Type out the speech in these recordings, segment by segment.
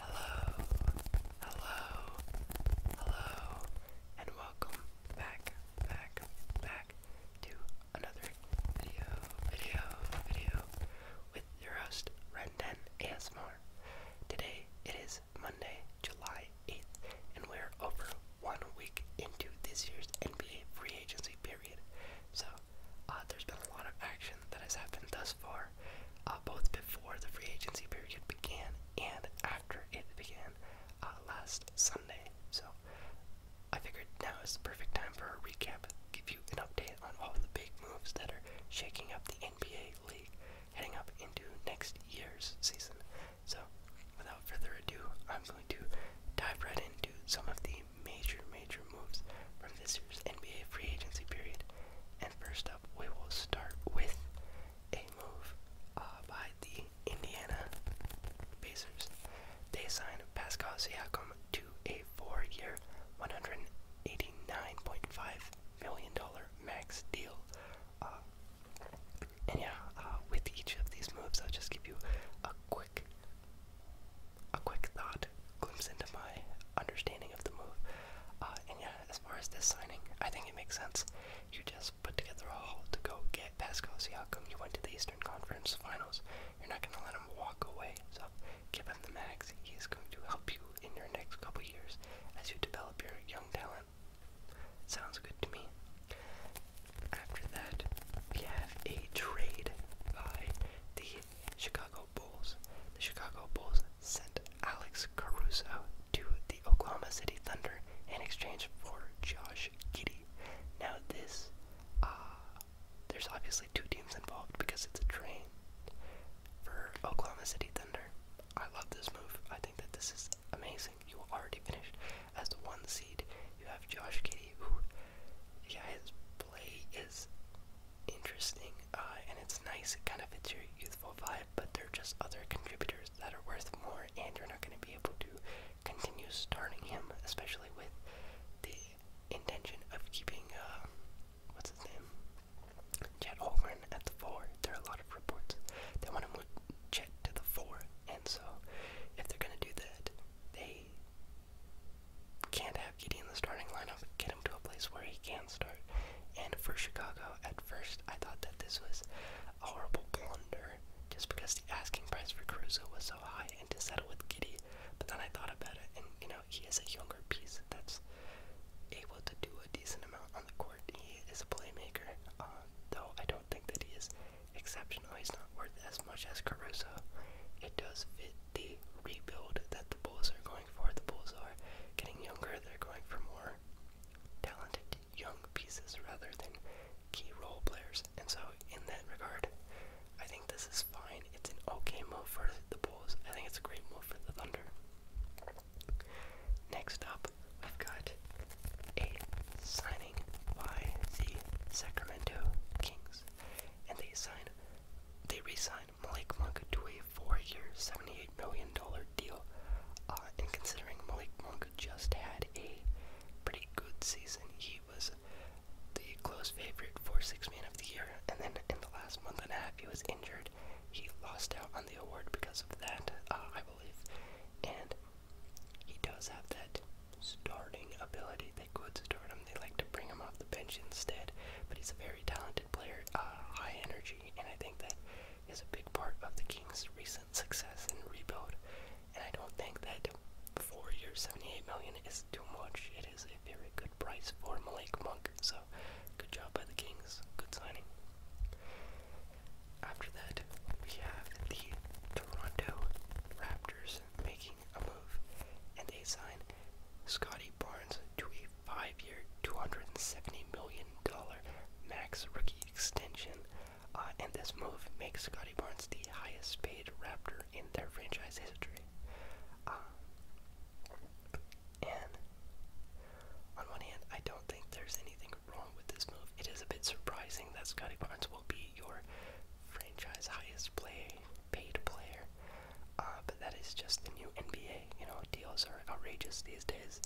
Hello, hello, hello, and welcome back, back, back to another video, video, video with your host, Renden ASMR. Today it is Monday, July 8th, and we're over one week into this year's NBA free agency period. So uh, there's been a lot of action that has happened thus far, uh, both before the free agency period began and after it began uh, last Sunday. So I figured now is the perfect time for a recap, give you an update on all the big moves that are shaking up the NBA league heading up into next year's season. So without further ado, I'm going to dive right into some of the major, major moves from this year's NBA free agency period. And first up, we will start with a move uh, by the Indiana Pacers. They signed Pascal Siakam to a four-year, $189.5 million max deal. Uh, and yeah, uh, with each of these moves, I'll just give you a quick a quick thought glimpse into my understanding of the move. Uh, and yeah, as far as this signing, I think it makes sense. You just put together a haul to go get Pascal Siakam. You went to the Eastern Conference Finals. You're not going to let him walk away. So keep him the max. He's going to help you in your next couple years as you develop your young talent. Sounds good to me. After that, we have a trade by the the Chicago Bulls. The Chicago Bulls sent Alex Caruso to the Oklahoma City Thunder in exchange for Josh Giddy. Now this, uh, there's obviously two teams involved because it's a train. For Oklahoma City Thunder, I love this move. I think that this is amazing. You already finished as the one seed. You have Josh Giddy, who yeah, his play is interesting, uh, and it's nice. It kind of fits your youthful vibe, but there are just other contributors that are worth more, and you're not going to be able to continue starting him, especially with the intention of keeping, uh, what's his name? Chet Holmgren at the four. There are a lot of reports they want to move Chet to the four, and so if they're going to do that, they can't have Giddy in the starting lineup, get him to a place where he can start. And for Chicago, at first I thought that this was a horrible blunder just because the asking price for Caruso was so high and to settle with Giddy. But then I thought about it, and you know, he is a younger piece that's able to do a decent amount on the court. He is a playmaker, uh, though I don't think that he is exceptional. He's not worth as much as Caruso. It does fit the rebuild that the Bulls are going for. The Bulls are getting younger, they're going for more talented young pieces rather than key role players. And so, in that regard, I think this is fine. It's an okay move for the Bulls. I think it's a great move for the Thunder. Next up, we've got a signing by the Sacramento Kings and they sign they re-sign Malik Monk to a four-year, seventy-eight million dollar deal. Uh, and considering Malik Monk just had a pretty good season, he was the close favorite for Six Man of the Year, and then in the last month and a half, he was injured. He lost out on the award because of that, uh, I believe, and he does have that starting ability. They could start him. They like to bring him off the bench instead. But he's a very talented player, uh, high energy, and I think that is a big part of the Kings' recent success and rebuild. And I don't think that four years, 78 million is too much. It is a very good price for Malik Monk. So good job by the Kings. Good signing. After that, we have the Toronto Raptors making a move and they sign Scotty Barnes to a five-year, $270 million max rookie extension. Uh, and this move makes Scotty Barnes the highest paid Raptor in their franchise history. Uh, and on one hand, I don't think there's anything wrong with this move. It is a bit surprising that Scotty Barnes will be your franchise highest play paid player. Uh, but that is just the new NBA. You know, deals are outrageous these days.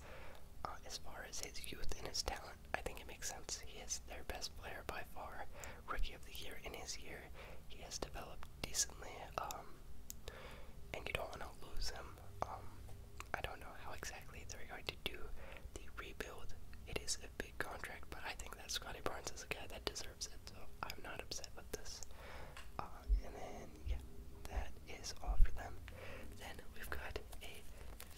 Uh, as far as his youth and his talent, I think it makes sense. He is their best player by far, rookie of the year in his year. He has developed decently, um, and you don't want to lose him. Um, I don't know how exactly they're going to do the rebuild. It is a contract, but I think that Scotty Barnes is a guy that deserves it, so I'm not upset with this. Uh, and then, yeah, that is all for them. Then we've got a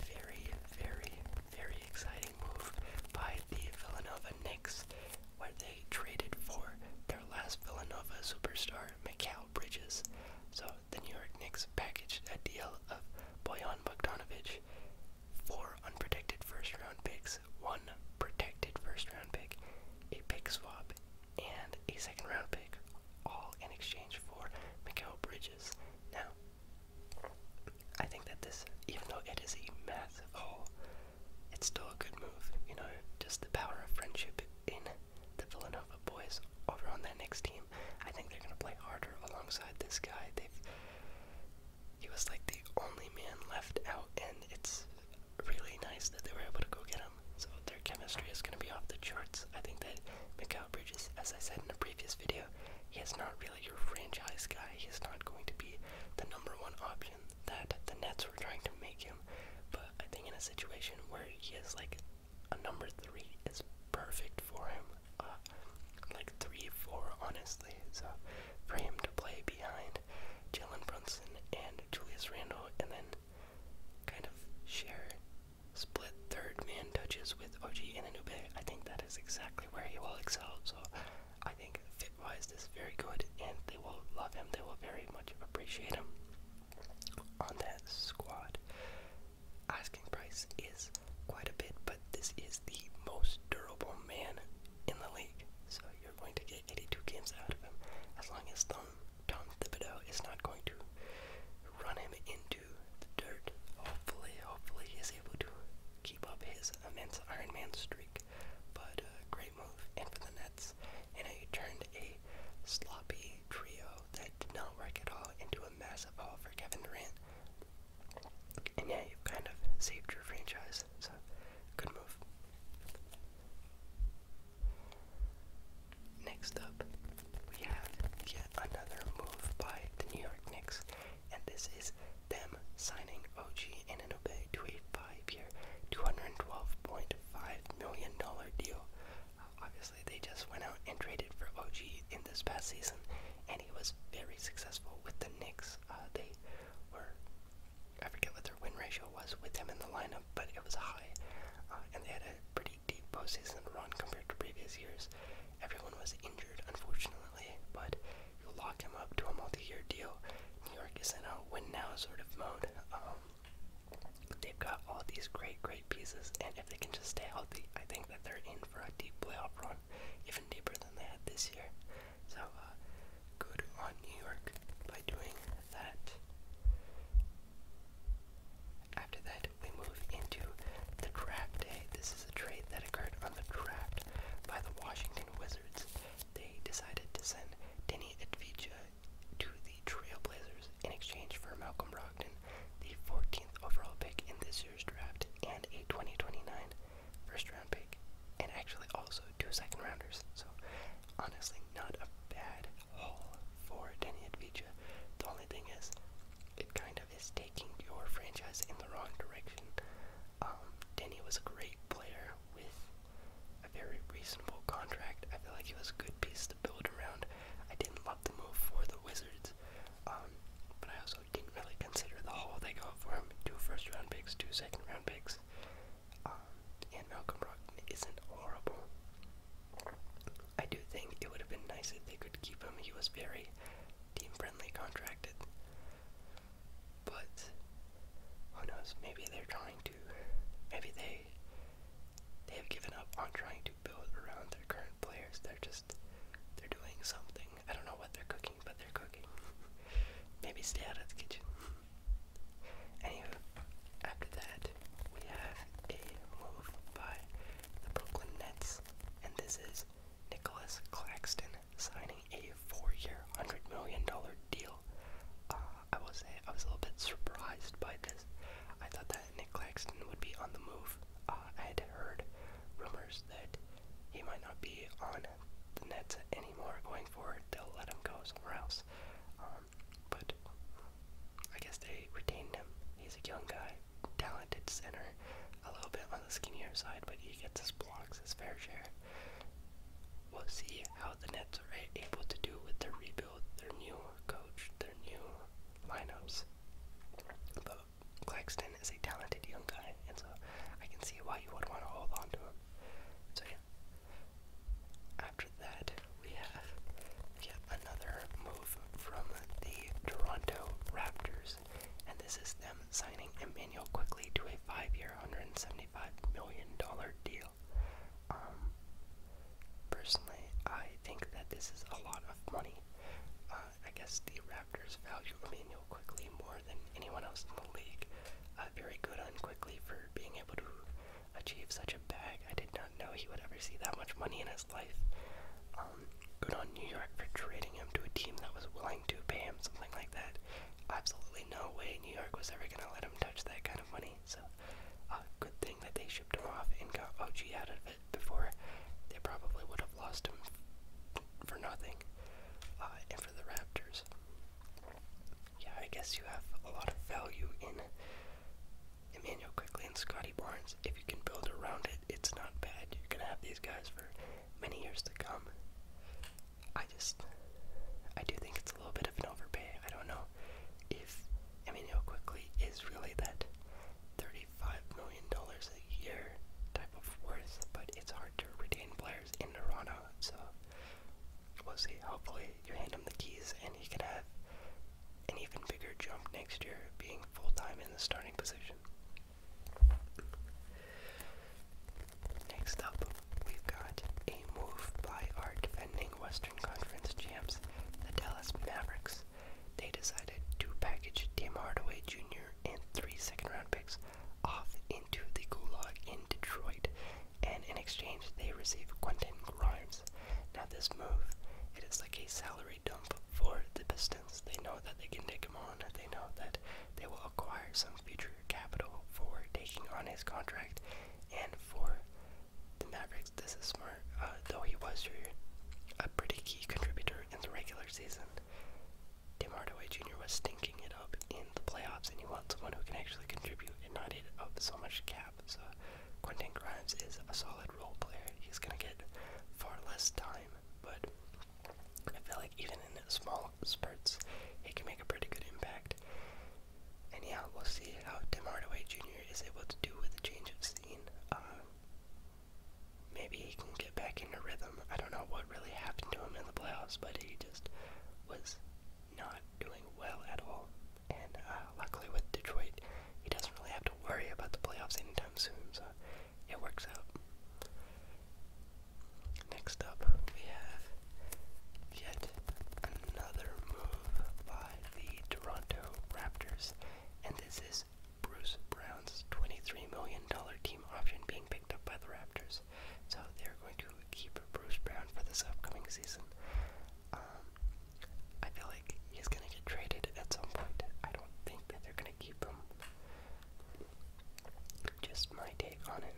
very, very, very exciting move by the Villanova Knicks, where they traded for their last Villanova superstar, Mikal Bridges. So the New York Knicks packaged a deal of Boyan Bogdanovich, four unprotected first round picks, one protected first round pick, a pick swap, and a second round pick, all in exchange for Mikael Bridges. Now, I think that this, even though it is a massive hole, it's still a good move. You know, just the power of friendship in the Villanova boys over on that next team. I think they're going to play harder alongside this guy. They've he was like the only man left out, and it's really nice that they were able to go get him. So their chemistry is going to be off the charts. I think that Mikael Bridges, as I said in a previous video, he is not really your franchise guy. He is not going to be the number one option that the Nets were trying to make him. But I think in a situation where he is like a number three is perfect for him. Uh, like three, four, honestly. So for him to play behind Jalen Brunson and Julius Randle, and then kind of share split third man touches with OG and Ananube. I think that is exactly where he will excel. So I think fit wise this is very good, and they will love him. They will very much appreciate him on that squad. Asking price is quite a bit, but this is the most durable man in the league. So you're going to get 82 games out of him as long as Tom, Tom Thibodeau is not going to run him into the dirt. Hopefully, hopefully he's able to keep up his immense Iron Man streak. But uh, great move, and for the Nets, and he turned a sloppy trio that did not work at all into a massive haul for Kevin Durant. And yeah, you've kind of saved your franchise. So Good move. Next up, we have yet another move by the New York Knicks, and this is them signing OG Ananobe to a five-year, $212.5 million deal. Uh, obviously, they just went out and traded for OG in this past season, and he was very successful with the Knicks. Uh, they were I forget what their win ratio was with him in the lineup, but it was high. Uh, and they had a pretty deep postseason run compared to previous years. Everyone was injured, unfortunately, but you lock him up to a multi-year deal. New York is in a win-now sort of mode. Um, they've got all these great, great pieces, and if they can just stay healthy, I think that they're in for a deep playoff run, even deeper than they had this year. So, uh, good on New York by doing that. After that, we move into the draft day. This is a trade that occurred on the draft by the Washington Wizards. They decided to send Denny Advija to the Trailblazers in exchange for Malcolm Brogdon, the 14th overall pick in this year's draft, and a 2029 first round pick, and actually also two second rounders. So honestly, not a bad haul for Denny Advija. The only thing is, it kind of is taking your franchise in the wrong direction. Um, Denny was a great player with a very reasonable contract. I feel like he was a good piece to build around. I didn't love the move for the Wizards, um, but I also didn't really consider the haul they got for him. Two first round picks, two second round picks. Brooks. Um, and Malcolm Brogdon isn't horrible. I do think it would have been nice if they could keep him. He was very team friendly contracted. But who knows, maybe they're trying to maybe they they have given up on trying to build around their current players. They're just they're doing something I don't know what they're cooking, but they're cooking. Maybe stay out of the kitchen. Anywho, after that, we have a move by the Brooklyn Nets, and this is Nicholas Claxton signing a four-year, hundred million dollar deal. Uh, I will say I was a little bit surprised by this. I thought that Nick Claxton would be on the move. Uh, I had heard rumors that he might not be on the Nets anymore going forward. They'll let him go somewhere else. Um, but I guess they retained him. He's a young guy, talented center, a little bit on the skinnier side, but he gets his blocks, his fair share. We'll see how the Nets are able to do with their rebuild, their new coach, their new lineups. But Claxton is a talented young guy, and so I can see why you would want to hold on to him. So yeah. After that, we have yet another move from the Toronto Raptors, and this is them signing Emmanuel quickly to a five-year, $175 million deal. Um, personally, I think that this is a lot of money. Uh, I guess the Raptors value Emmanuel quickly more than anyone else in the league uh, very good on quickly for being able to achieve such a bag. I did not know he would ever see that much money in his life. Um, good on New York for trading him to a team that was willing to pay him something like that. Absolutely no way New York was ever going to let him touch that kind of money. So, uh, good thing that they shipped him off and got OG out of it before they probably would have lost him for nothing. Uh, and for the Raptors, yeah, I guess you have a lot of value in Emmanuel Quickly and Scotty Barnes. If you can build around it, it's not bad. You're gonna have these guys for many years to come. I just, I do think it's a little bit of an overpay. I don't know if Emmanuel Quickly is really that $35 million a year type of worth, but it's hard to retain players in Toronto. So we'll see. Hopefully, you hand him the keys and he can have an even bigger jump next year, being full time in the starting position. Next up, we've got a move by our defending Western Conference champs, the Dallas Mavericks. They decided to package Tim Hardaway Jr and three second round picks off into the gulag in Detroit, and in exchange they receive Quentin Grimes. Now this move, it is like a salary dump for the Pistons. They know that they can take him on. They know that they will acquire some future capital for taking on his contract, and for the Mavericks, this is smart. Uh, though he was a pretty key contributor in the regular season, Tim Hardaway Jr. was stinking it up in the playoffs, and you want someone who can actually contribute and not eat up so much cap. So Quentin Grimes is a solid role player. He's gonna get far less time, but I feel like even in small spurts, he can make a pretty good impact. And yeah, we'll see how Tim Hardaway Jr. is able to do with the change of scene. Uh, maybe he can get back into rhythm. I don't know what what really happened to him in the playoffs, but he just was not doing well at all. And uh, luckily with Detroit, he doesn't really have to worry about the playoffs anytime soon, so it works out. Next up, we have yet another move by the Toronto Raptors, and this is Bruce Brown's $23 million team option being picked up by the Raptors. Brewers. So they're going to keep Bruce Brown for this upcoming season. Um, I feel like he's going to get traded at some point. I don't think that they're going to keep him. Just my take on it.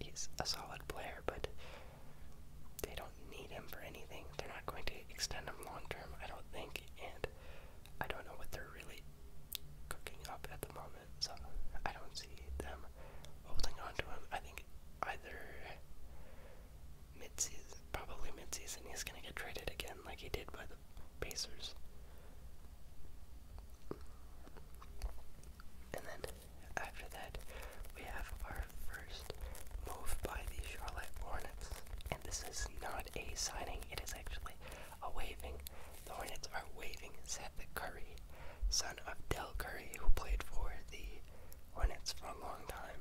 He's a solid player, but they don't need him for anything. They're not going to extend him long term, I don't think, and I don't know what they're really cooking up at the moment, so I don't see them holding on to him. I think either mid probably mid-season, he's gonna get traded again, like he did by the Pacers. And then after that, we have our first move by the Charlotte Hornets, and this is not a signing; it is actually a waving. The Hornets are waiving Seth Curry, son of Del Curry, who played for the Hornets for a long time.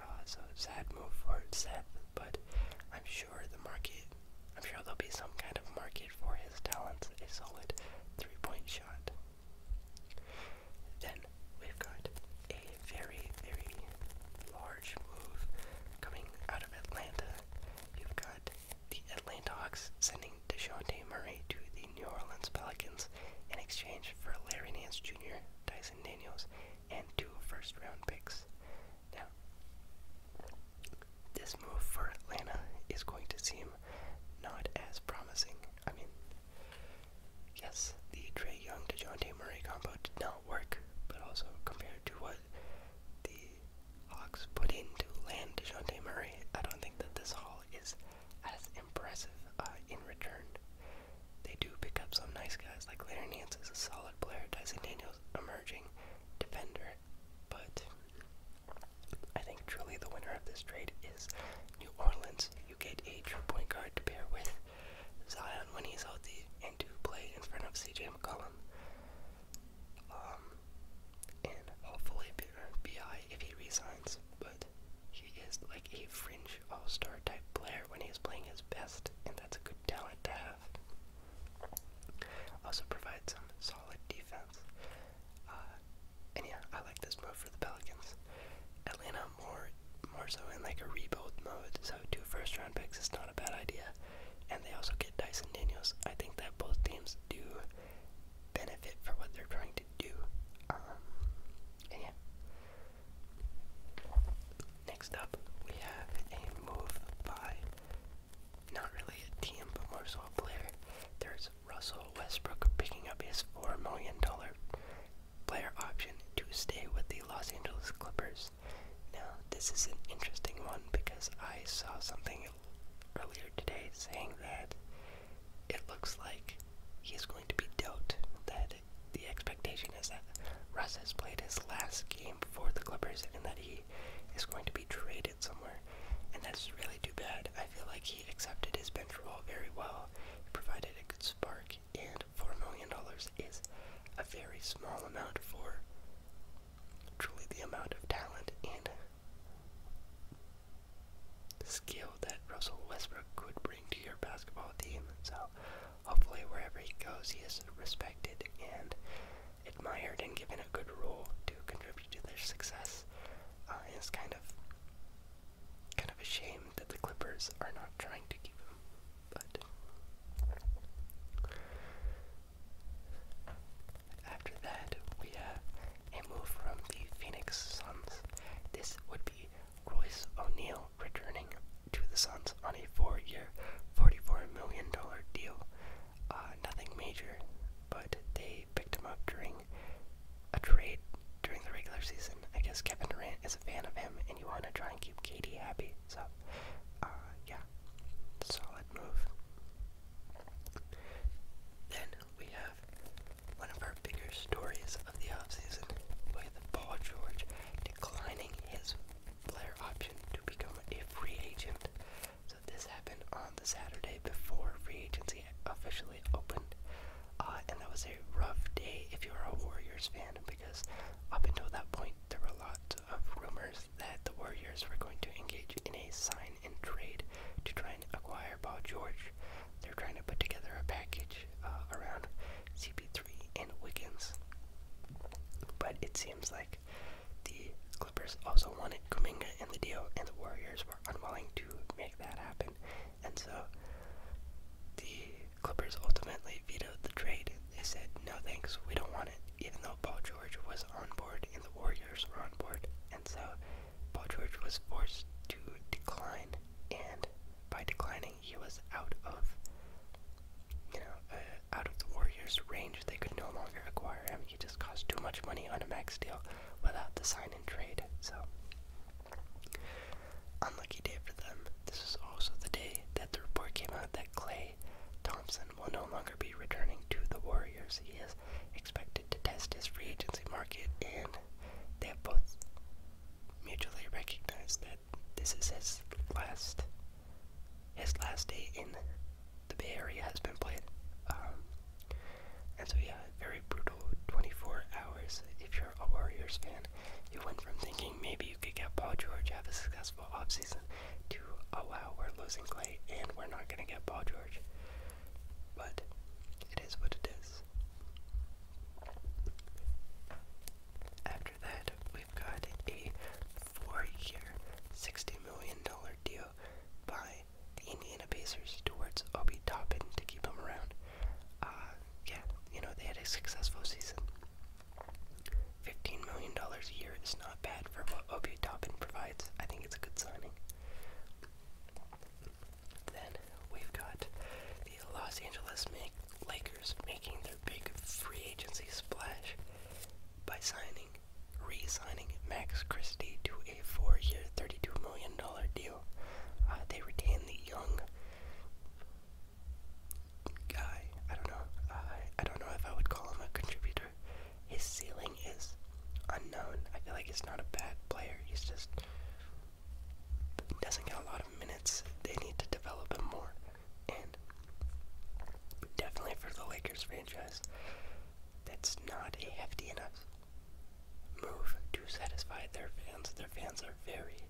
Uh, so sad move for Seth, but I'm sure the market, I'm sure there'll be some kind of market for his talents, a solid three-point shot. Then we've got a very, very large move coming out of Atlanta. You've got the Atlanta Hawks sending Deshonte Murray to the New Orleans Pelicans in exchange for Larry Nance Jr., Tyson Daniels, and two first round picks. Now, this move for Atlanta is going to seem not as promising. I mean, yes, the Trey Young DeJounte Murray combo did not work, but also compared to what the Hawks put in to land DeJounte Murray, I don't think that this haul is as impressive uh, in return. They do pick up some nice guys, like Larry Nance is a solid player, Dyson Daniels emerging defender, but I think truly the winner of this trade is New Orleans. You get a true point guard to pair with Zion when he's healthy and to play in front of CJ McCollum. Um, and hopefully BI uh, if he resigns, but he is like a fringe all-star type player when he is playing his best, and that's a good talent to have. Also provides some solid defense. Uh, and yeah, I like this move for the Pelicans. Atlanta more more so in like a rebuild mode, so two first round picks is not a bad idea. And they also get Dyson Daniels. I think that both teams do benefit for what they're trying to do. Um, yeah. Next up, we have a move by not really a team, but more so a player. There's Russell Westbrook picking up his $4 million player option to stay with the Los Angeles Clippers. Now, this is an interesting one because I saw something earlier today saying that it looks like he's going to be dealt. That the expectation is that Russ has played his last game for the Clippers and that he is going to be traded somewhere. And that's really too bad. I feel like he accepted his bench role very well. He provided a good spark, and $4 million is a very small amount for truly the amount of talent and skill that Russell Westbrook could bring to your basketball team. So hopefully wherever he goes, he is respected and admired and given a good role to contribute to their success. Uh, and it's kind of kind of a shame that the Clippers are not trying to keep him. But after that, we have uh, a move from the Phoenix Suns. This would be Royce O'Neal returning to the Suns on a four-year, $44 million deal. Uh, nothing major, but they picked him up during a trade during the regular season. I guess Kevin Durant is a fan of him, and you want to try and keep Katie happy. So, uh, yeah, solid move. Then we have one of our bigger stories of the offseason with Paul George declining his player option to become a free agent. So this happened on the Saturday before free agency officially opened. Uh, and that was a rough day if you were a Warriors fan because up until that point there were a lot of rumors that the Warriors were going to engage in a sign and trade to try and acquire Paul George. They're trying to put together a package uh, around CP3 and Wiggins. But it seems like the Clippers also wanted Kuminga in the deal, and the Warriors were unwilling to make that happen. And so the Clippers ultimately vetoed the trade. They said, no thanks, we don't want it, even though Paul George was on board and the Warriors were on board so Paul George was forced to decline, and by declining, he was out of, you know, uh, out of the Warriors' range. They could no longer acquire him. He just cost too much money on a max deal without the sign and trade. So, unlucky day for them. This is also the day that the report came out that Clay Thompson will no longer be returning to the Warriors. He is expected to test his free agency market, and they have both mutually recognized that this is his last his last day in the Bay Area has been played. Um, and so yeah, very brutal 24 hours. If you're a Warriors fan, you went from thinking maybe you could get Paul George, have a successful offseason, to oh, wow, we're losing Clay and we're not gonna get Paul George. But it is what it is. After that, we've got a four year, $60 million deal by the Indiana Pacers towards Obi Toppin to keep him around. Uh, yeah, you know, they had a successful season. $15 million a year is not bad for what Obi Toppin provides. I think it's a good signing. Then we've got the Los Angeles Lakers making their big free agency splash by signing, re-signing Max Christie to a four-year, thirty-two million dollar deal. Uh, they retain the young guy. I don't know. Uh, I don't know if I would call him a contributor his ceiling is unknown. I feel like he's not a bad player. He's just doesn't get a lot of minutes. They need to develop him more. And definitely for the Lakers franchise, that's not a hefty enough move to satisfy their fans. Their fans are very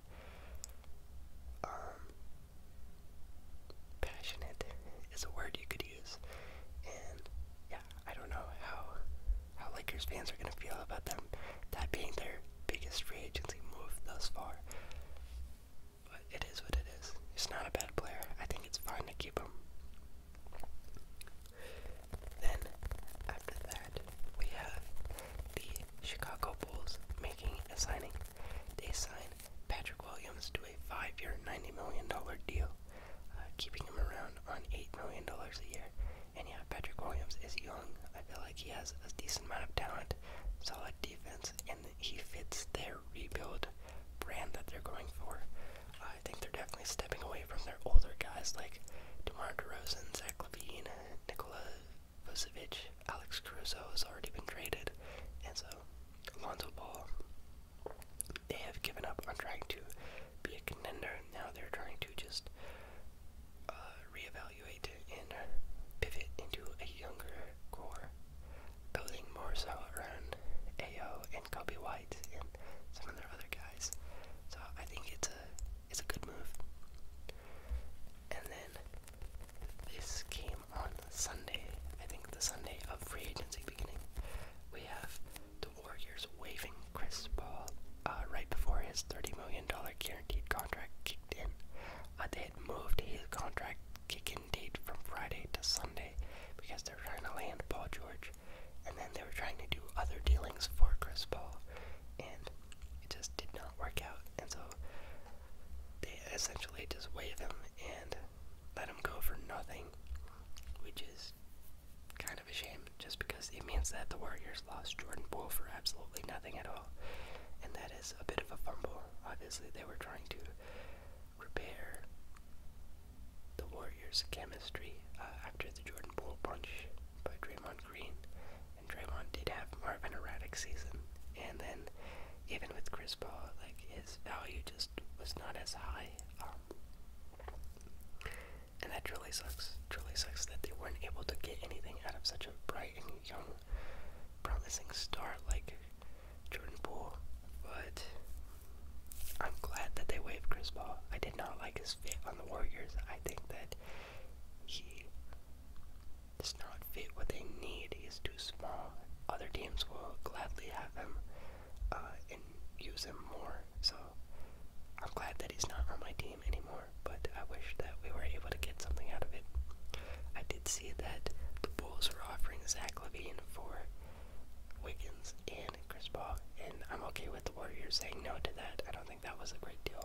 um passionate is a word you could use. And yeah, I don't know how how Lakers fans are gonna feel about them that being their biggest free agency move thus far. But it is what it is. He's not a bad player. I think it's fine to keep him. Then after that we have the Chicago Bulls making a signing. They sign Patrick Williams to a five year ninety million dollar deal. Uh, keeping him around on $8 million a year. And yeah, Patrick Williams is young. I feel like he has a decent amount of talent, solid defense, and he fits their rebuild brand that they're going for. I think they're definitely stepping away from their older guys like DeMar DeRozan, Zach Levine, Nikola Vucevic, Alex Caruso has already been traded, and so Alonzo Ball, they have given up on trying to be a contender. Now they're trying to just uh, reevaluate and pivot into a younger core, building more so around AO and Kobe White and some of their other guys. So I think it's a it's a good move. And then this came on Sunday. I think the Sunday of free agency beginning. We have the Warriors waiving Chris Paul uh, right before his $30 million guaranteed contract kicked in. Uh, they had moved his contract kick-in date from Friday to Sunday because they were trying to land Paul George, and then they were trying to do other dealings for Chris Paul, and it just did not work out. And so they essentially just waive him and let him go for nothing, which is kind of a shame just because it means that the Warriors lost Jordan Poole for absolutely nothing at all. And that is a bit of a fumble. Obviously, they were trying to repair the Warriors' chemistry uh, after the Jordan Poole punch by Draymond Green. And Draymond did have more of an erratic season. And then, even with Chris Paul, like his value just was not as high. Um, and that truly sucks. Truly sucks that they weren't able to get anything out of such a bright and young, promising star like Jordan Poole. But I'm glad that they waived Chris Paul. I did not like his fit on the Warriors. I think that he does not fit what they need. He is too small. Other teams will gladly have him. Uh, and use him more. So I'm glad that he's not on my team anymore, but I wish that we were able to get something out of it. I did see that the Bulls were offering Zach Levine for Wiggins and Chris Paul, and I'm okay with the Warriors saying no to that. I don't think that was a great deal.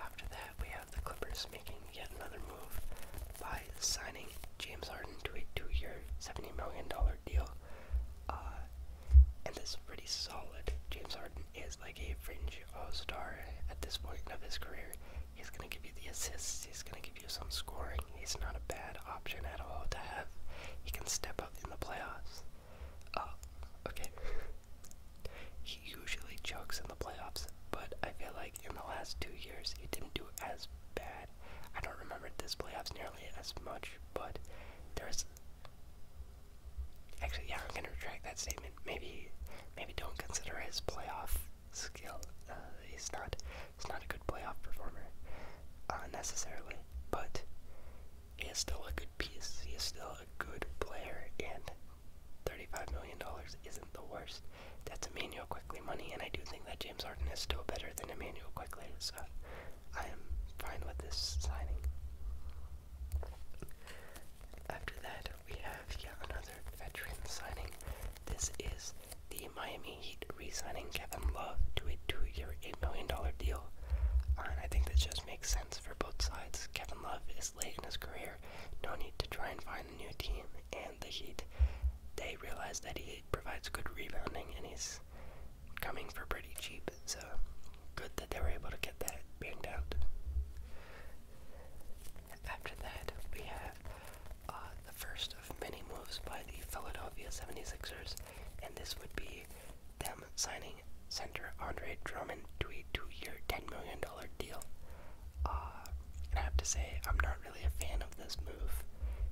After that, we have the Clippers making yet another move by signing James Harden to a two-year, $70 million deal. Uh, and this is pretty solid. James Harden is like a fringe all-star at this point of his career. He's going to give you the assists. He's going to give you some scoring. He's not a bad option at all to have. He can step up in the playoffs. Uh, okay. he usually chokes in the playoffs, but I feel like in the last two years he didn't do as bad I don't remember this playoffs nearly as much, but there's actually yeah, I'm gonna retract that statement. Maybe maybe don't consider his playoff skill. Uh, he's not he's not a good playoff performer uh, necessarily, but he is still a good piece. He is still a good player, and thirty-five million dollars is not the worst. That's Emmanuel Quickly money, and I do think that James Harden is still better than Emmanuel Quickly, so I am fine with this signing. After that, we have yet another veteran signing. This is the Miami Heat re-signing Kevin Love to a two-year, $8 million deal. and I think this just makes sense for both sides. Kevin Love is late in his career, no need to try and find a new team, and the Heat, they realize that he he provides good rebounding, and he's coming for pretty cheap. So good that they were able to get that banged out. After that, we have uh, the first of many moves by the Philadelphia 76ers, and this would be them signing center Andre Drummond to a two year, $10 million deal. Uh, I have to say, I'm not really a fan of this move,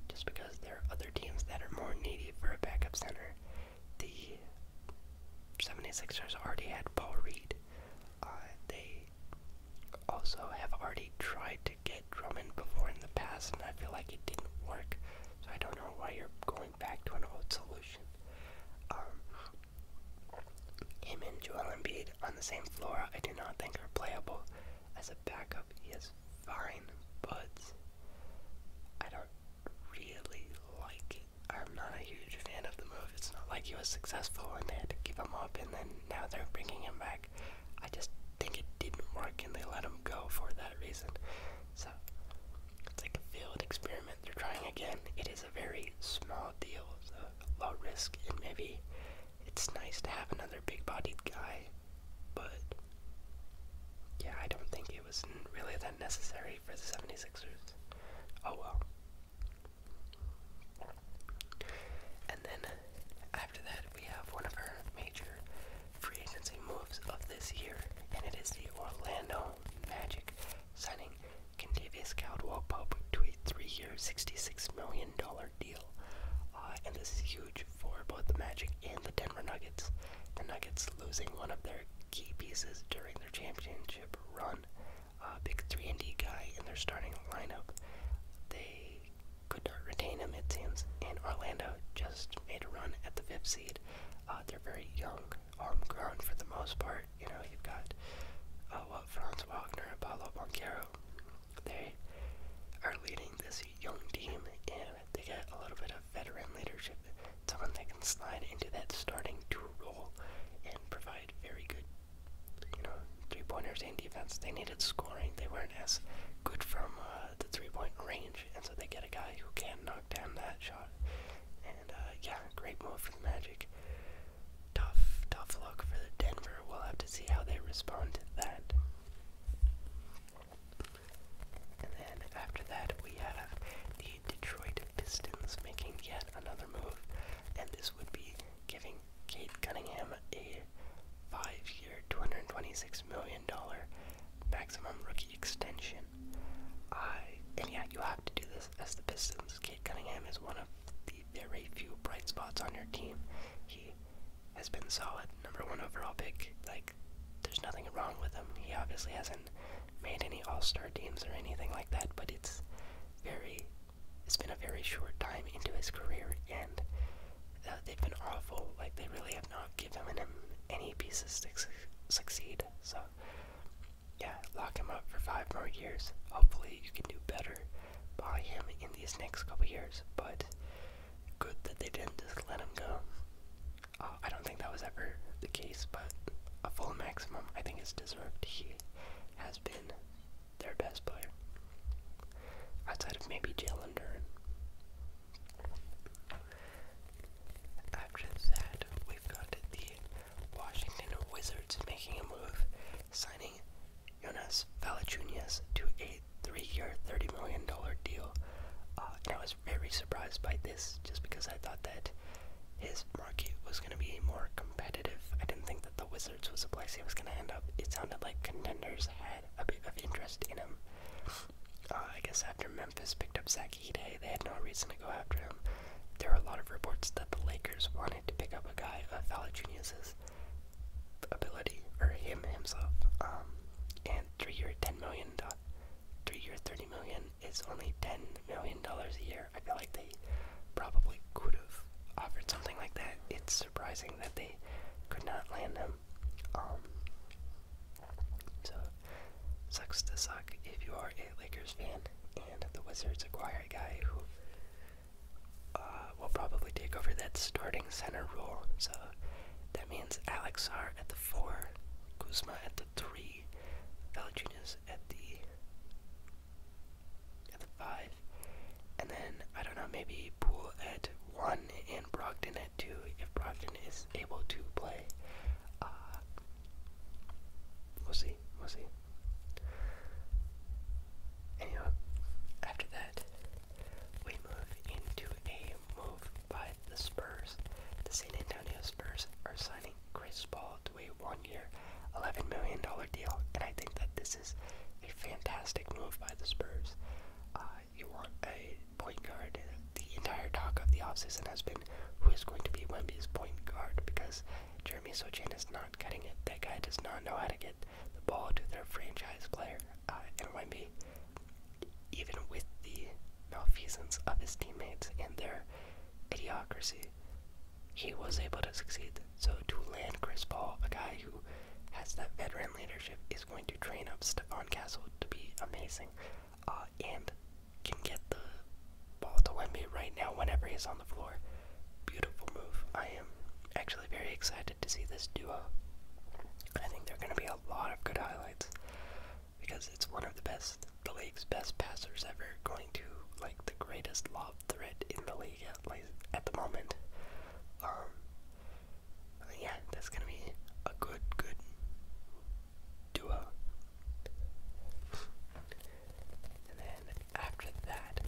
just because there are other teams that are more needy for a backup center. The 76ers already had Paul Reed. Uh, they also have already tried to get Drummond before in the past, and I feel like it didn't work. So I don't know why you're going back to an old solution. Um, him and Joel Embiid on the same floor, I do not think are playable. As a backup, he is fine, but I don't really like it. I'm not a huge fan of the move. It's not like he was successful and they had to give him up, and then now they're bringing him back. I just think it didn't work, and they let him go for that reason. So it's like a failed experiment. They're trying again. It is a very small deal, a low risk, and maybe it's nice to have another big bodied guy, but yeah, I don't think it was really that necessary for the 76ers. Oh well. And then after that, we have one of our major free agency moves of this year, and it is the Orlando Magic signing Candavius Caldwell Pope to a three year, $66 million deal. Uh, and this is huge for both the Magic and the Denver Nuggets. The Nuggets losing one of their key pieces during their championship run. Uh, big 3 and D guy in their starting lineup. They could not retain him, it seems. And Orlando just made a run at the fifth seed. Uh, they're very young, homegrown for the most part. You know, you've got uh, Franz Wagner, Paolo Banquero, they are leading this young team, and they got a little bit of veteran leadership. Someone that can slide into that starting two role and provide very good, you know, three pointers and defense. They needed scoring. They weren't as good from uh, the three point range, and so they get a guy who can knock down that shot. And uh, yeah, great move for the Magic. Tough, tough luck for the Denver. We'll have to see how they respond to that. And then after that, we have the Detroit Pistons making yet another move, and this would be giving Kate Cunningham a five-year, $226 million maximum rookie extension. I and yeah, you have to do this as the Pistons. Kate Cunningham is one of the very few bright spots on your team. He has been solid. Number one overall pick. Like, there's nothing wrong with him. He obviously hasn't made any All Star teams or anything like that, but it's very. It's been a very short time into his career, and uh, they've been awful. Like, they really have not given him any pieces to succeed. So, yeah, lock him up for five more years. Hopefully, you can do better by him in these next couple years, but good that they didn't just let him go. Uh, I don't think that was ever the case, but a full maximum I think is deserved. He has been their best player. Outside of maybe Jalen Duran. After that, we've got the Washington Wizards making a move, signing Jonas Valanciunas to a three-year, thirty million dollar deal, uh, I was very surprised by this, just because I thought that his market was going to be more competitive. I didn't think that the Wizards was a place he was going to end up. It sounded like contenders had a bit of interest in him. Uh, I guess after Memphis picked up Zach Ide, they had no reason to go after him. There were a lot of reports that the Lakers wanted to pick up a guy of Valanciunas' ability, or him himself. Um, and three-year, ten million, three-year, thirty million is only ten million dollars a year. I feel like they probably could have offered something like that. It's surprising that they could not land him. Um, so sucks to suck if you are a Lakers fan and the Wizards acquire a guy who we uh, will probably take over that starting center role. So that means Alexar at the four, Kuzma at the three, Valachunas at the at the five, and then I don't know maybe Poole at one and Brogdon at two if Brogdon is able to play. Uh, we'll see. We'll see. Anyway, after that, we move into a move by the Spurs. The San Antonio Spurs are signing Chris Paul to a one-year, $11 million deal, and I think that this is a fantastic move by the Spurs. Uh, you want a point guard. The entire talk of the offseason has been who is going to be Wemby's point guard because Jeremy Sochan is not getting it. That guy does not know how to get the ball to their franchise player, uh, MYB, even with the malfeasance of his teammates and their idiocracy, he was able to succeed. So to land Chris Paul, a guy who has that veteran leadership, is going to train up Stephon Castle to be amazing, uh, and can get the ball to Wemby right now whenever he's on the floor. Beautiful move. I am actually very excited to see this duo. I think there are going to be a lot of good highlights because it's one of the best, the league's best passers ever, going to like the greatest lob threat in the league at, like, at the moment. Um, yeah, that's going to be a good, good duo. And then after that,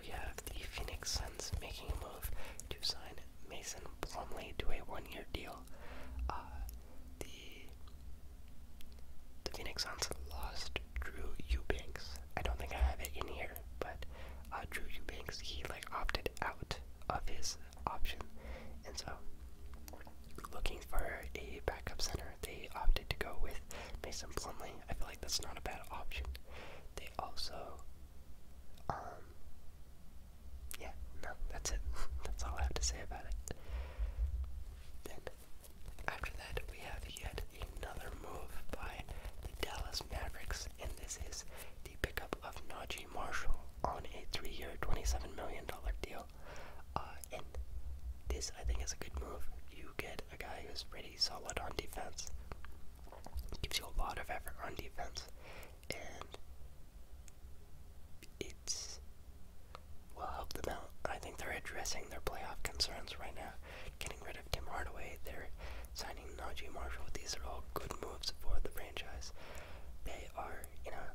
we have the Phoenix Suns making a move to sign Mason Plumlee to a one-year deal. Uh, the the Phoenix Suns lost Drew Eubanks. I don't think I have it in here, but uh, Drew Eubanks he like opted out of his option, and so looking for a backup center, they opted to go with Mason Plumlee. I feel like that's not a bad option. They also um, yeah, no, that's it. that's all I have to say about it. Then, after that, we have yet another move by the Dallas Mavericks, and this is the pickup of Na'ji Marshall on a three-year, $27 million deal. Uh, and this, I think, is a good move. You get a guy who's pretty solid on defense, gives you a lot of effort on defense, and it's will help them out. I think they're addressing their playoff concerns right now, getting rid of Tim Hardaway. They're signing Najee Marshall. These are all good moves for the franchise. They are, you know,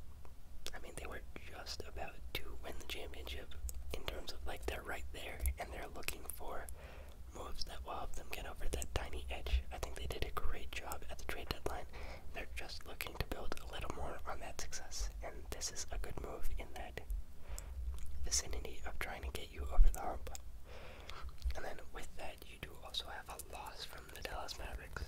I mean, they were just about to win the championship in terms of like they're right there, and they're looking for moves that will help them get over that tiny edge. I think they did a great job at the trade deadline. They're just looking to build a little more on that success, and this is a good move in that vicinity of trying to get you over the hump. And then with that, you do also have a loss from the Dallas Mavericks.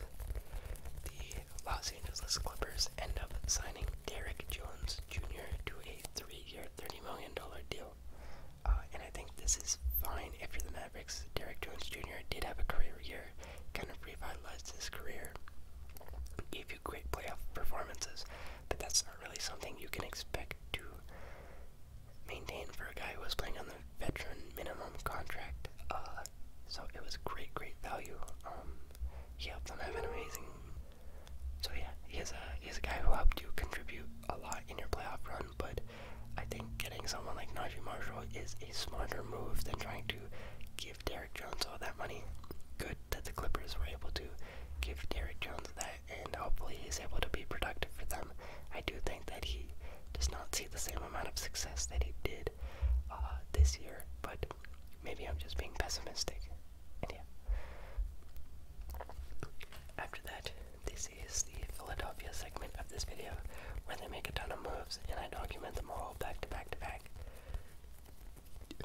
The Los Angeles Clippers end up signing Derek Jones Jr. to a three year, $30 million deal. Uh, and I think this is fine if you're the Mavericks. Derek Jones Jr. did have a career year, kind of revitalized his career, gave you great playoff performances, but that's not really something you can expect to maintain for a guy who was playing on the veteran minimum contract. Uh, so it was great, great value. Um, he helped them have an amazing. So yeah, he is a he is a guy who helped you contribute a lot in your playoff run but I think getting someone like Najee Marshall is a smarter move than trying to give Derek Jones all that money. Good that the Clippers were able to give Derek Jones that, and hopefully he's able to be productive for them. I do think that he does not see the same amount of success that he did uh, this year, but maybe I'm just being pessimistic. And yeah. After that, they is the Philadelphia segment of this video where they make a ton of moves and I document them all back to back to back.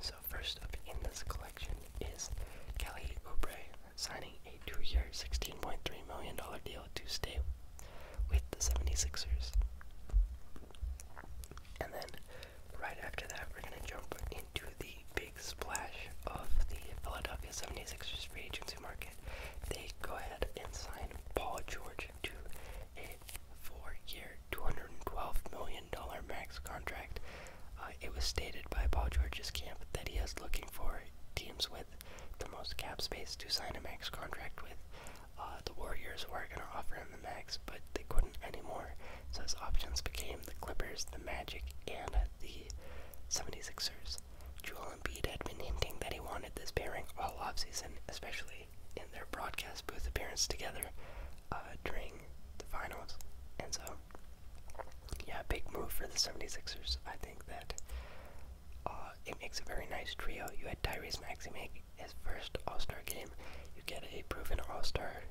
So first up in this collection is Kelly Oubre signing a two-year $16.3 million deal to stay with the 76ers. And then right after that we're going to jump into the big big splash of the Philadelphia 76ers free agency market, they go ahead and sign Paul George to a four-year, $212 million max contract. Uh, it was stated by Paul George's camp that he is looking for teams with the most cap space to sign a max contract with. Uh, the Warriors were going to offer him the max, but they couldn't anymore. So his options became the Clippers, the Magic, and the 76ers. Lakers. Joel Embiid had been hinting that he wanted this pairing all off season, especially in their broadcast booth appearance together uh, during the finals. And so, yeah, big move for the 76ers. I think that uh, it makes a very nice trio. You had Tyrese Maxey make his first All Star game, you get a proven All Star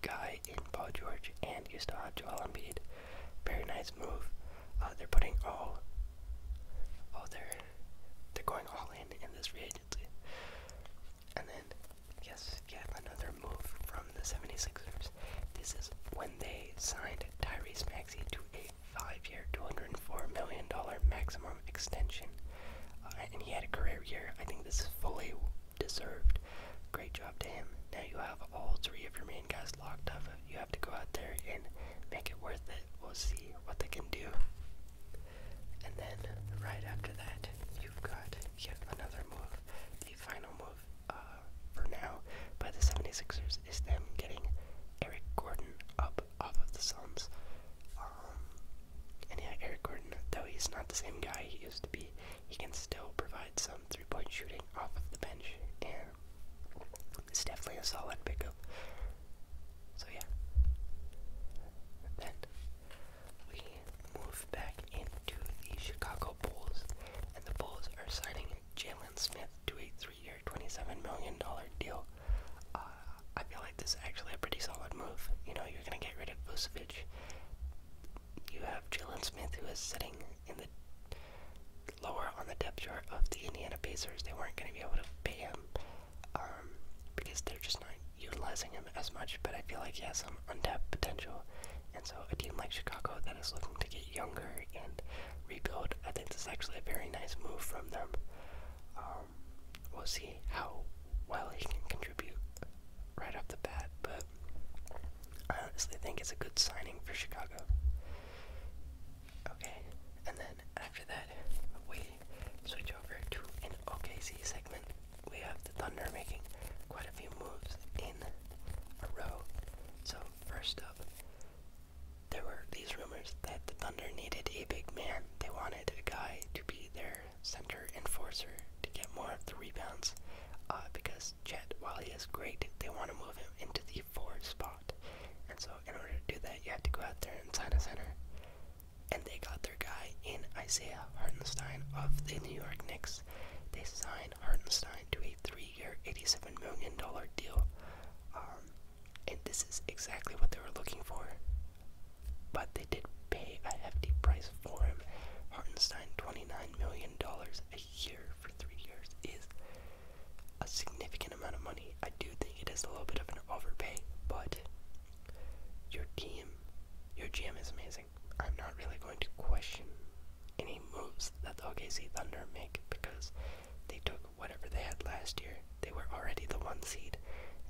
guy in Paul George, and you still have Joel Embiid. Very nice move. Uh, they're putting all, all their, they're going all in in this free And then, yes, yet another move from the 76ers. This is when they signed Tyrese Maxey to a five-year, $204 million maximum extension. Uh, and he had a career year. I think this is fully deserved. Great job to him. Now you have all three of your men guy's locked up. You have to go out there and make it worth it. We'll see what they can do. And then right after that, you've got yet another move. The final move uh, for now by the 76ers is them getting Eric Gordon up off of the Suns. Um, and yeah, Eric Gordon, though he's not the same guy he used to be, he can still provide some three-point shooting off of the bench, it's definitely a solid pickup. So yeah. Then we move back into the Chicago Bulls, and the Bulls are signing Jalen Smith to a three-year, $27 million deal. Uh, I feel like this is actually a pretty solid move. You know, you're going to get rid of Vucevic. You have Jalen Smith, who is sitting in the lower on the depth chart of the Indiana Pacers. They weren't going to be able to pay him um, because they're just not utilizing him as much. But I feel like he has some untapped potential. And so a team like Chicago that is looking to get younger and rebuild, I think this is actually a very nice move from them. Um, we'll see how well he can contribute right off the bat, but I honestly think it's a good signing for Chicago. Okay, and then after that, we switch over to an OKC segment. We have the Thunder making quite a few moves in a row. So, first up, there were these rumors that the Thunder needed a big man. They wanted a guy to be their center enforcer to get more of the rebounds uh, because this jet, while he is great, they want to move him into the four spot. And so, in order to do that, you have to go out there and sign a center. And they got their guy in Isaiah Hartenstein of the New York Knicks. They signed Hartenstein to a three-year, $87 million deal. Um, and this is exactly what they were looking for. But they did pay a hefty price for him. Hartenstein, $29 million a year for three years is a significant amount of money. I do think it is a little bit of an overpay, but your team, your GM is amazing. I'm not really going to question any moves that the OKC Thunder make because they took whatever they had last year. They were already the one seed,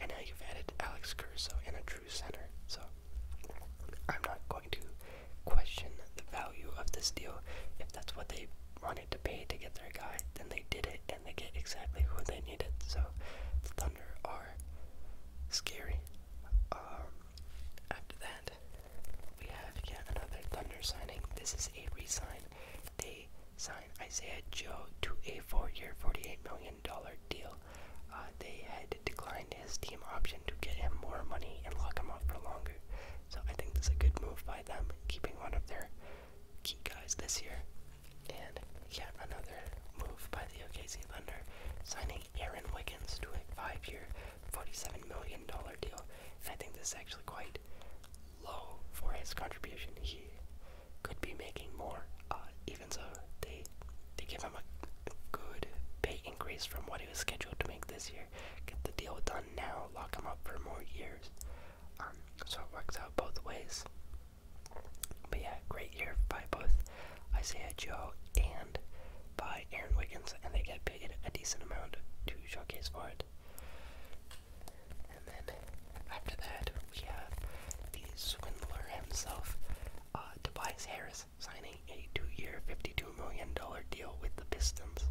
and now you've added Alex Caruso and a true center. So I'm not going going to question the value of this deal. If that's what they wanted to pay to get their guy, then they did it and they get exactly who they needed. So the Thunder are scary. Um, after that, we have yet another Thunder signing. This is a re-sign. They sign Isaiah Joe to a four-year, $48 million deal. Uh, they had declined his team option to get him more money and lock him up for longer. So I think this is a good move by them, keeping one of their key guys this year. And yet another move by the OKC Thunder, signing Aaron Wiggins to a five-year, $47 million deal. And I think this is actually quite low for his contribution. He could be making more, uh, even so they they give him a good pay increase from what he was scheduled to make this year year. Get the deal done now, lock him up for more years. Um, so it works out both ways. But yeah, great year by both Isaiah Joe and by Aaron Wiggins, and they get paid a decent amount to showcase for it. And then after that, we have the swindler himself, uh, Tobias Harris, signing a two-year, $52 million deal with the Pistons.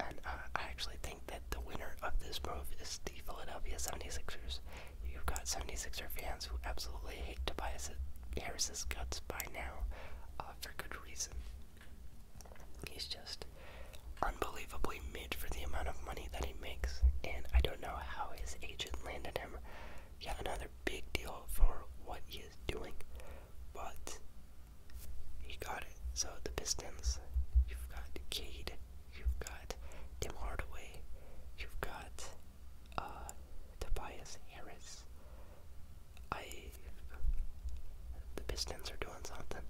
And uh, I actually think that the winner of this move is the Philadelphia 76ers. You've got 76er fans who absolutely hate Tobias Harris's guts by now, uh, for good reason. He's just unbelievably made for the amount of money that he makes, and I don't know how his agent landed him. Yet another big deal for what he is doing, but he got it. So the Pistons, you've got Cade, you've got Tim Hardaway, you've got uh, Tobias Harris. I the Pistons are doing something.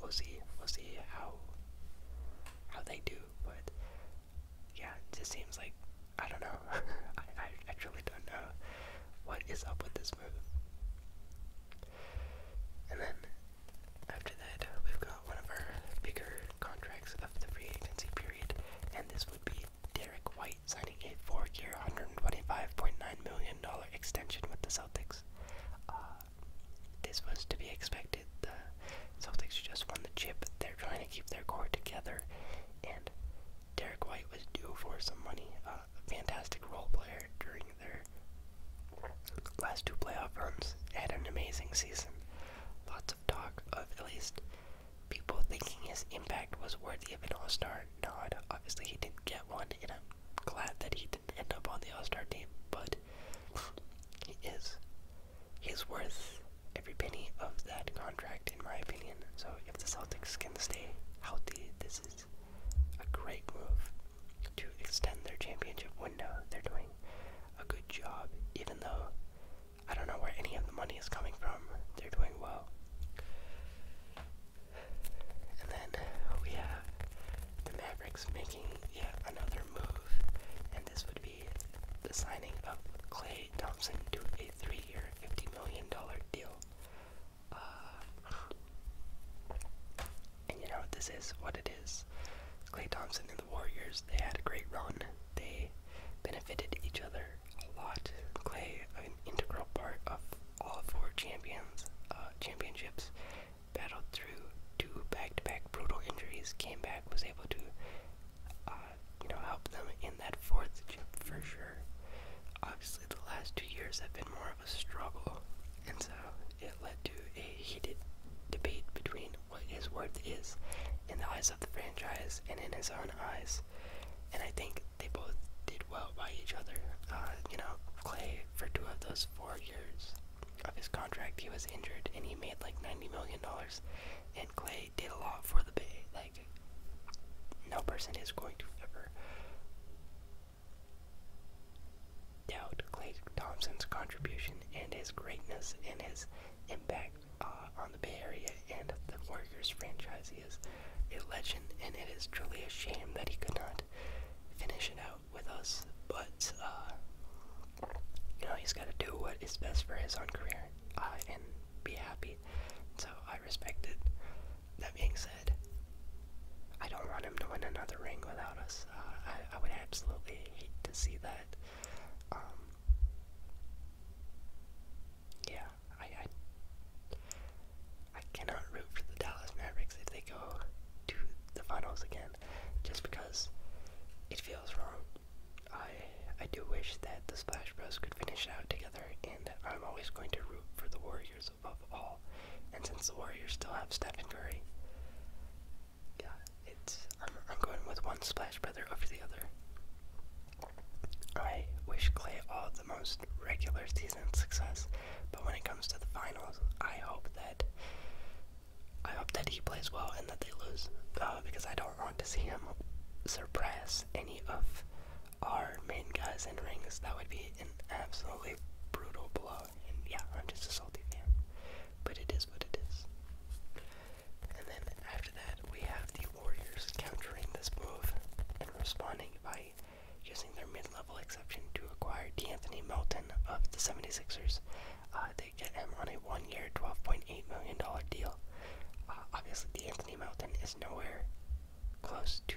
We'll see. We'll see how how they do, but yeah, it just seems like I don't know. I, I I truly don't know what is up with this and then after that, we've got one of our bigger contracts of the free agency period, and this would be Derek White signing a four-year, $125.9 million extension with the Celtics. Uh, this was to be expected. The Celtics just won the chip. They're trying to keep their core together, and Derek White was due for some money. Uh, fantastic role player during their last two playoff runs. Had an amazing season. Lots of talk of at least people thinking his impact was worthy of an All Star nod. Obviously, he didn't get one, and I'm glad that he didn't end up on the All Star team. But he is he's worth every penny of that contract, in my opinion. So if the Celtics can stay healthy, this is a great move to extend their championship window. They're doing a good job, even though I don't know where any of the money is coming from. They're doing well. And then we have the Mavericks making yet another move, and this would be the signing of Clay Thompson to a three-year, $50 million deal. Uh, and you know, what this is what it is. Clay Thompson and the Warriors, they had a great run. They benefited each other a lot. Clay, an integral part of all four champions, uh, championships, battled through two back-to-back brutal injuries, came back, was able to, uh, you know, help them in that fourth chip for sure year. Obviously, the last two years have been more of a struggle, and so it led to a heated debate between what his worth is in the eyes of the franchise and in his own eyes. And I think they both did well by each other. Uh, you know, Clay, for two of those four years of his contract, he was injured and he made like $90 million. And Clay did a lot for the Bay. Like, no person is going to ever doubt Clay Thompson's contribution and his greatness and his impact uh, on the Bay Area and the Warriors franchise. He is a legend, and it is truly a shame that he could not finish it out with us. But uh, you know, he's got to do what is best for his own career, uh, be happy. So I respect it. That being said, I don't want him to win another ring without us. Uh, I, I would absolutely hate to see that. Um, yeah, I, I I cannot root for the Dallas Mavericks if they go to the finals again, just because it feels wrong. I I do wish that the Splash Bros could finish it out together, and I'm always going to root for the Warriors. Warriors above all. And since the Warriors still have Stephen Curry, yeah, it's I'm, going with one Splash Brother after the other. I wish Clay all the most regular season success, but when it comes to the finals, I hope that I hope that he plays well and that they lose, uh, because I don't want to see him suppress any of our main guys in rings, that would be an absolutely brutal blow. And yeah, I'm just a salty fan. But it is what it is. And then after that, we have the Warriors countering this move and responding by using their mid-level exception to acquire D'Anthony Melton of the 76ers. Uh, they get him on a one-year, $12.8 million deal. Uh, obviously, D'Anthony Melton is nowhere close to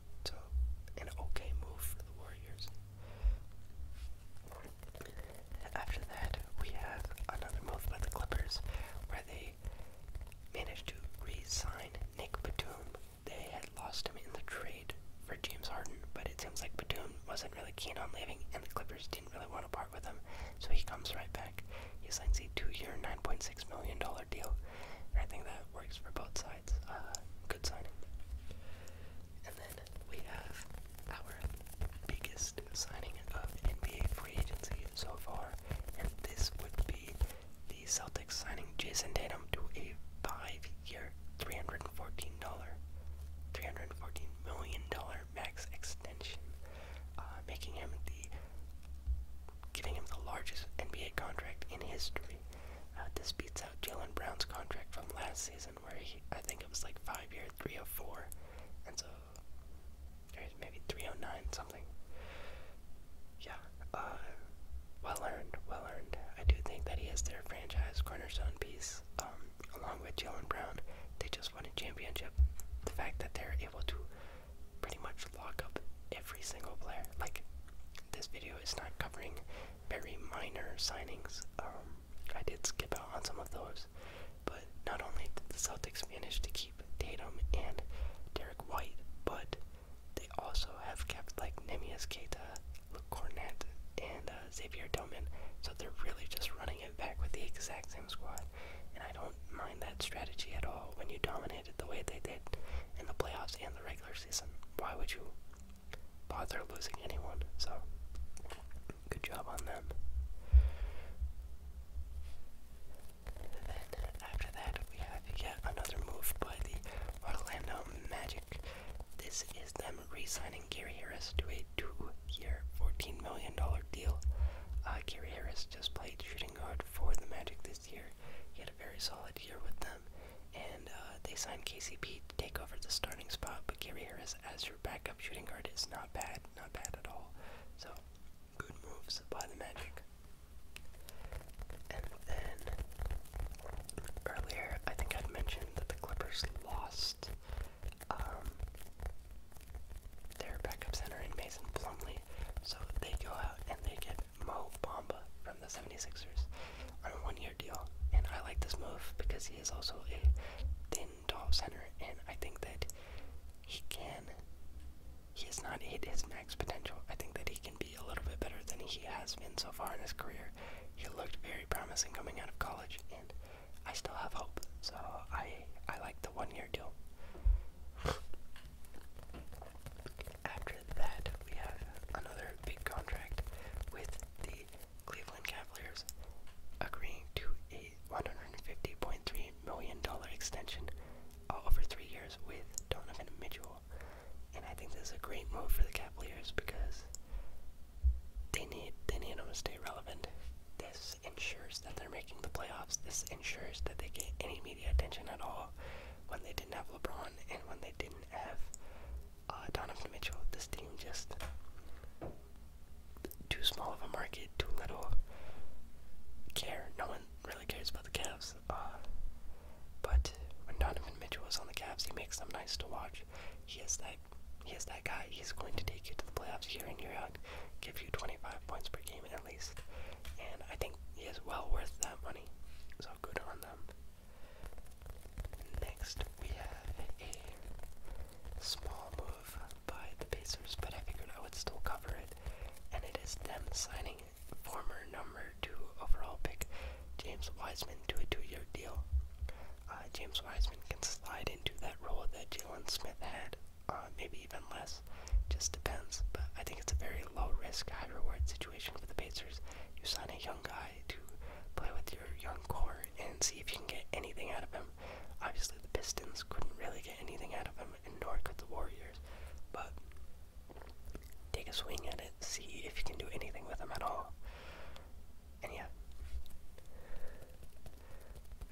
so, an okay move for the Warriors. After that, we have another move by the Clippers where they managed to re sign Nick Batum. They had lost him in the trade for James Harden, but it seems like Batum wasn't really keen on leaving, and the Clippers didn't really want to part with him, so he comes right back. He signs a two year, $9.6 million deal, I think that works for both sides. Uh, good signing. And then we have our biggest signing of NBA free agency so far, and this would be the Celtics signing Jason Tatum to a five-year, three hundred and fourteen dollar, three hundred and fourteen million dollar max extension, uh, making him the, giving him the largest NBA contract in history. Uh, this beats out Jalen Brown's contract from last season, where I think it was like five year, 304, and so, or maybe 309, something. Yeah, uh, well earned, well earned. I do think that he is their franchise cornerstone piece, um, along with Jalen Brown. They just won a championship. The fact that they're able to pretty much lock up every single player, like, this video is not covering very minor signings. Um, I did skip out on some of those, but not only did the Celtics manage to keep Tatum and Derek White, but they also have kept like Nemias Keita, Luke Cornett, and uh, Xavier Tillman. So they're really just running it back with the exact same squad, and I don't mind that strategy at all. When you dominated the way they did in the playoffs and the regular season, why would you bother losing anyone, so good job on them. Then after that we have yet another move by the Orlando Magic. This is them re-signing Gary Harris to a two-year, $14 million deal. Uh, Gary Harris just played shooting guard for the Magic this year. He had a very solid year with them and uh, they signed KCP to take over the starting spot. But Gary Harris as your backup shooting guard is not bad, not bad at all. So good moves by the Magic. And then earlier, I think i mentioned that the Clippers lost um, their backup center in Mason Plumlee, so they go out and they get Mo Bamba from the 76ers on a one year deal. And I like this move because he is also a thin, tall center. And I think that he can, he has not hit his max potential. I think that he can be a little bit better than he has been so far in his career. He looked very promising coming out of college, and I still have hope. So I, I like the one year deal. After that, we have another big contract with the Cleveland Cavaliers agreeing to a $150.3 million extension uh, over three years with Donovan Mitchell. And I think this is a great move for the Cavaliers because they need they need them to stay relevant. This ensures that they're making the playoffs. This ensures that they get any media attention at all. When they didn't have LeBron and when they didn't have uh, Donovan Mitchell. This team just too small of a market, too little care. No one really cares about the Cavs. Uh, but when Donovan Mitchell is on the Cavs, he makes them nice to watch. He is that he is that guy. He's going to take you to the playoffs year in year out, give you 25 points per game at least, and I think he is well worth that money. So good on them. Next, we have a small move by the Pacers, but I figured I would still cover it, and it is them signing former number two overall pick James Wiseman to a two-year deal. Uh, James Wiseman can slide into that role that Jalen Smith had, uh, maybe even less. Just depends, but I think it's a very low risk, high reward situation for the Pacers. You sign a young guy to play with your young core and see if you can get anything out of him. Obviously, the Pistons couldn't really get anything out of him, and nor could the Warriors. But take a swing at it, see if you can do anything with him at all. And yeah.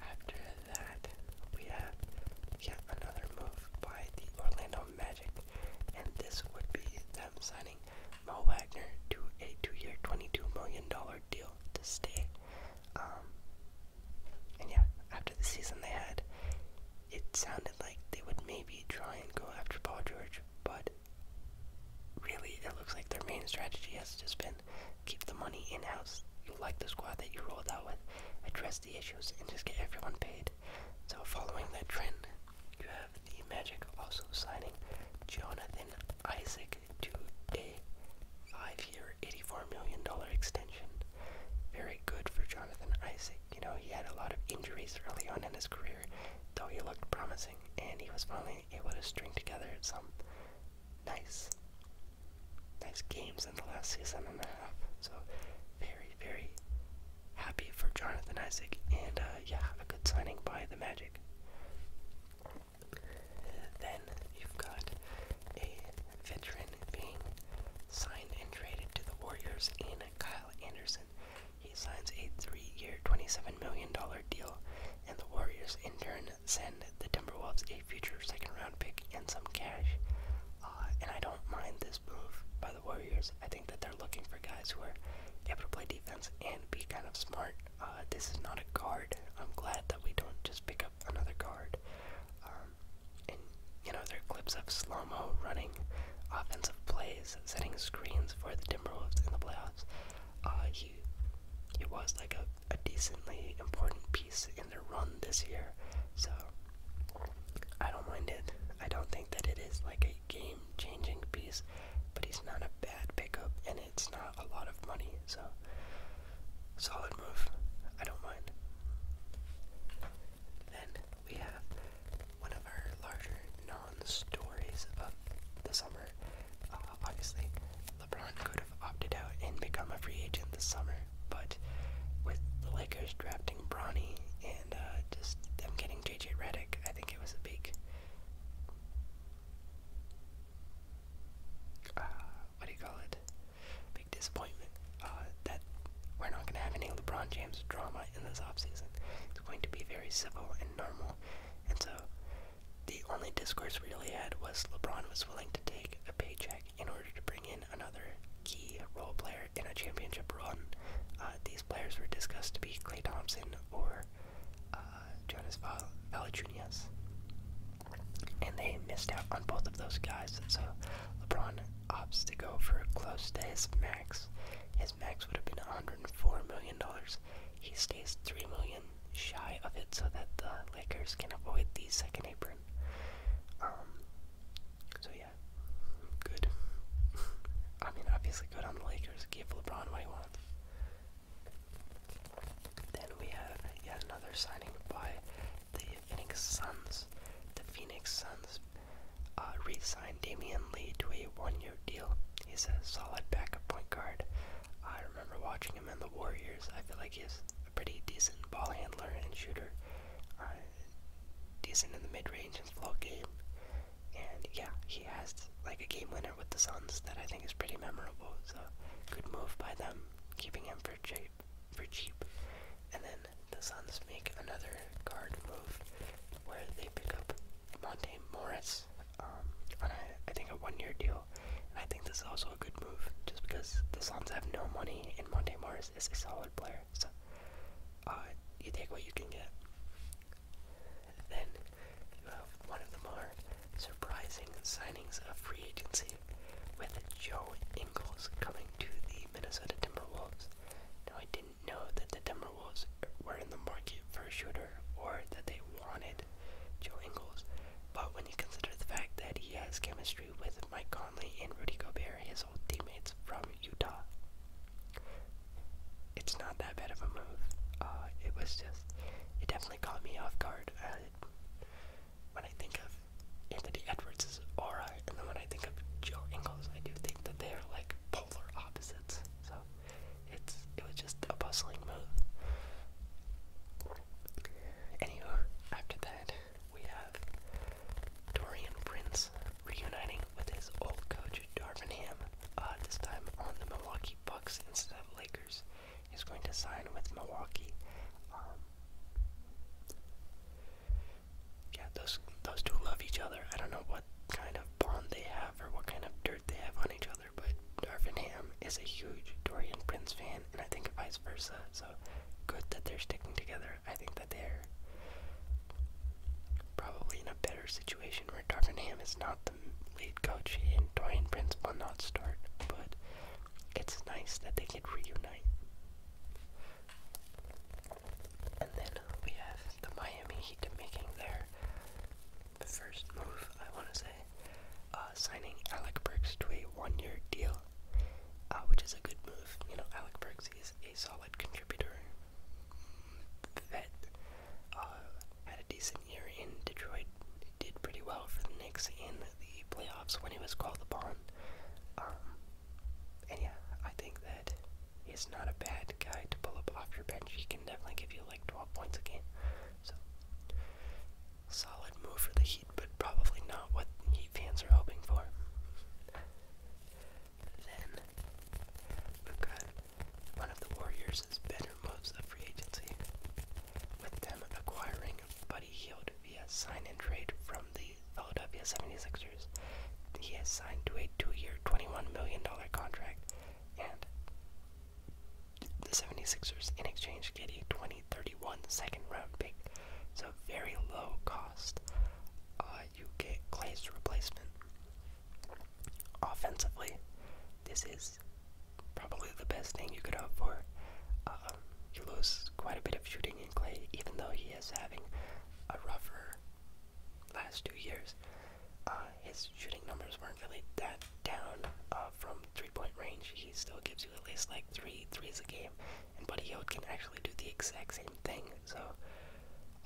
After that, we have yet another move by the Orlando Magic, and this would be them signing Mo Wagner to a two-year, twenty-two million dollar deal to stay. Um, and yeah, after the season they had, it sounded like they would maybe try and go after Paul George, but really it looks like their main strategy has just been keep the money in-house. You like the squad that you rolled out with, address the issues, and just get everyone paid. So following that trend, the Magic also signing Jonathan Isaac to a five-year, $84 million extension. Very good for Jonathan Isaac. You know, he had a lot of injuries early on in his career, though he looked promising, and he was finally able to string together some nice, nice games in the last season and a half. So, very, very happy for Jonathan Isaac, and uh, yeah, a good signing by the Magic. Then you've got a veteran being signed and traded to the Warriors in Kyle Anderson. He signs a three-year, $27 million deal, and the Warriors in turn send the Timberwolves a future second-round pick and some cash. Uh, and I don't mind this move by Warriors. I think that they're looking for guys who are able to play defense and be kind of smart. Uh, this is not a guard. I'm glad that we don't just pick up another guard. Um, and, you know, there are clips of slow mo running offensive plays, setting screens for the Timberwolves in the playoffs. Uh, he, he was like a, a decently important piece in their run this year. So, I don't mind it. I don't think that it is like a game changing piece, but he's not a bad pickup, and it's not a lot of money, so solid move. I don't mind. Then we have one of our larger non-stories of the summer. Uh, obviously, LeBron could have opted out and become a free agent this summer, but with the Lakers drafting Bronny and uh, just them getting JJ Redick. I think it was a big uh, what do you call it? Big disappointment. Uh, that we're not gonna have any LeBron James drama in this offseason. It's going to be very civil and normal. And so the only discourse we really had was LeBron was willing to take a paycheck in order to bring in another key role player in a championship run. Uh, these players were discussed to be Clay Thompson or uh, Jonas Val Valanciunas, and they missed out on both of those guys. So LeBron opts to go for close to his max. His max would have been 104 million dollars. He stays three million shy of it, so that the Lakers can avoid the second apron. Um. So yeah, good. I mean, obviously good on the Lakers just give LeBron what he wants. Then we have yet another signing by the Phoenix Suns. The Phoenix Suns uh, re-signed Damian Lee to a one-year deal. He's a solid backup point guard. I remember watching him in the Warriors. I feel like he's a pretty decent ball handler and shooter. Uh, decent in the mid-range and slow game. And yeah, he has like a game winner with the Suns that I think is pretty memorable. So good move by them, keeping him for cheap. For cheap. And then the Suns make another guard move where they pick up Monte Morris um, on a, I think a one-year deal. And I think this is also a good move, just because the Suns have no money and Monte Morris is a solid player. So uh, you take what you can get. Then you have one of the more surprising signings of free agency with Joe Ingles coming to the Minnesota Timberwolves. Now, I didn't know that the Timberwolves were in the market for a shooter or that they wanted Joe Ingles, but when you consider the fact that he has chemistry with Mike Conley and Rudy Gobert, his old teammates from Utah, it's not that bad of a move. Uh, it was just, it definitely caught me off guard. when I think of Anthony Edwards' aura, and then when I think of Joe Ingles, I do think that they are like polar opposites. So it's it was just a bustling move. Anywho, after that we have Dorian Prince reuniting with his old coach Darvin Ham, uh, this time on the Milwaukee Bucks instead of Lakers. He's going to sign with Milwaukee. Um, yeah, those those two love each other. I don't know what kind of bond they have or what kind of dirt they have on each other, but Darvin Ham is a huge Dorian Prince fan, and I think vice versa. So good that they're sticking together. I think that they're probably in a better situation where Darvinham is not the lead coach and Dorian Prince will not start, but it's nice that they can reunite. And then we have the Miami Heat making their first move, I want to say, uh, signing Alec Burks to a one-year deal, uh, which is a good move. You know, Alec Burks is a solid contributor that uh, had a decent year in Detroit. Did pretty well for the Knicks in the playoffs when he was called upon. Um, and yeah, I think that he's not a bad guy to pull up off your bench. He can definitely give you like 12 points a game. So, solid move for the Heat, but probably not what Heat fans are hoping for. Then we've got one of the Warriors has better moves of free agency, with them acquiring Buddy Heald via sign and trade from the Philadelphia 76ers. He has signed to a two-year, $21 million contract, and the 76ers in exchange get a 2031 second round pick. So very low cost. Uh, you get Clay's replacement. Offensively, this is probably the best thing you could hope for. Uh, you lose quite a bit of shooting in Clay, even though he is having a rougher last two years. Uh, his shooting numbers weren't really that down uh, from three-point range. He still gives you at least like three threes a game, and Buddy Hield can actually do the exact same thing so,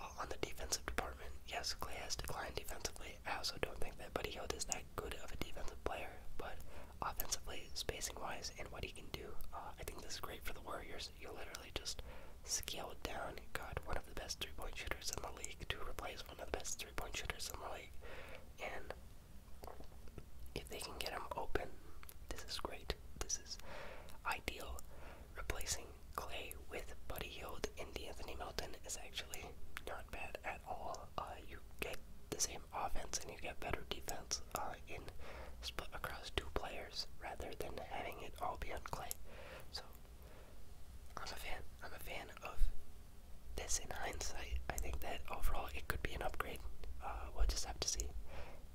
uh, on the defensive department, yes, Clay has declined defensively. I also don't think that Buddy Hield is that good of a defensive player, but offensively, spacing wise, and what he can do, uh, I think this is great for the Warriors. You literally just scaled down, got one of the best three point shooters in the league to replace one of the best three point shooters in the league, and if they can get him open, this is great. This is ideal. Replacing Clay with Buddy Hield and Anthony Melton is actually not bad at all. Uh, you get the same offense and you get better defense uh, in split across two players rather than having it all be on Clay. So I'm a fan. I'm a fan of this in hindsight. I think that overall it could be an upgrade. Uh, we'll just have to see.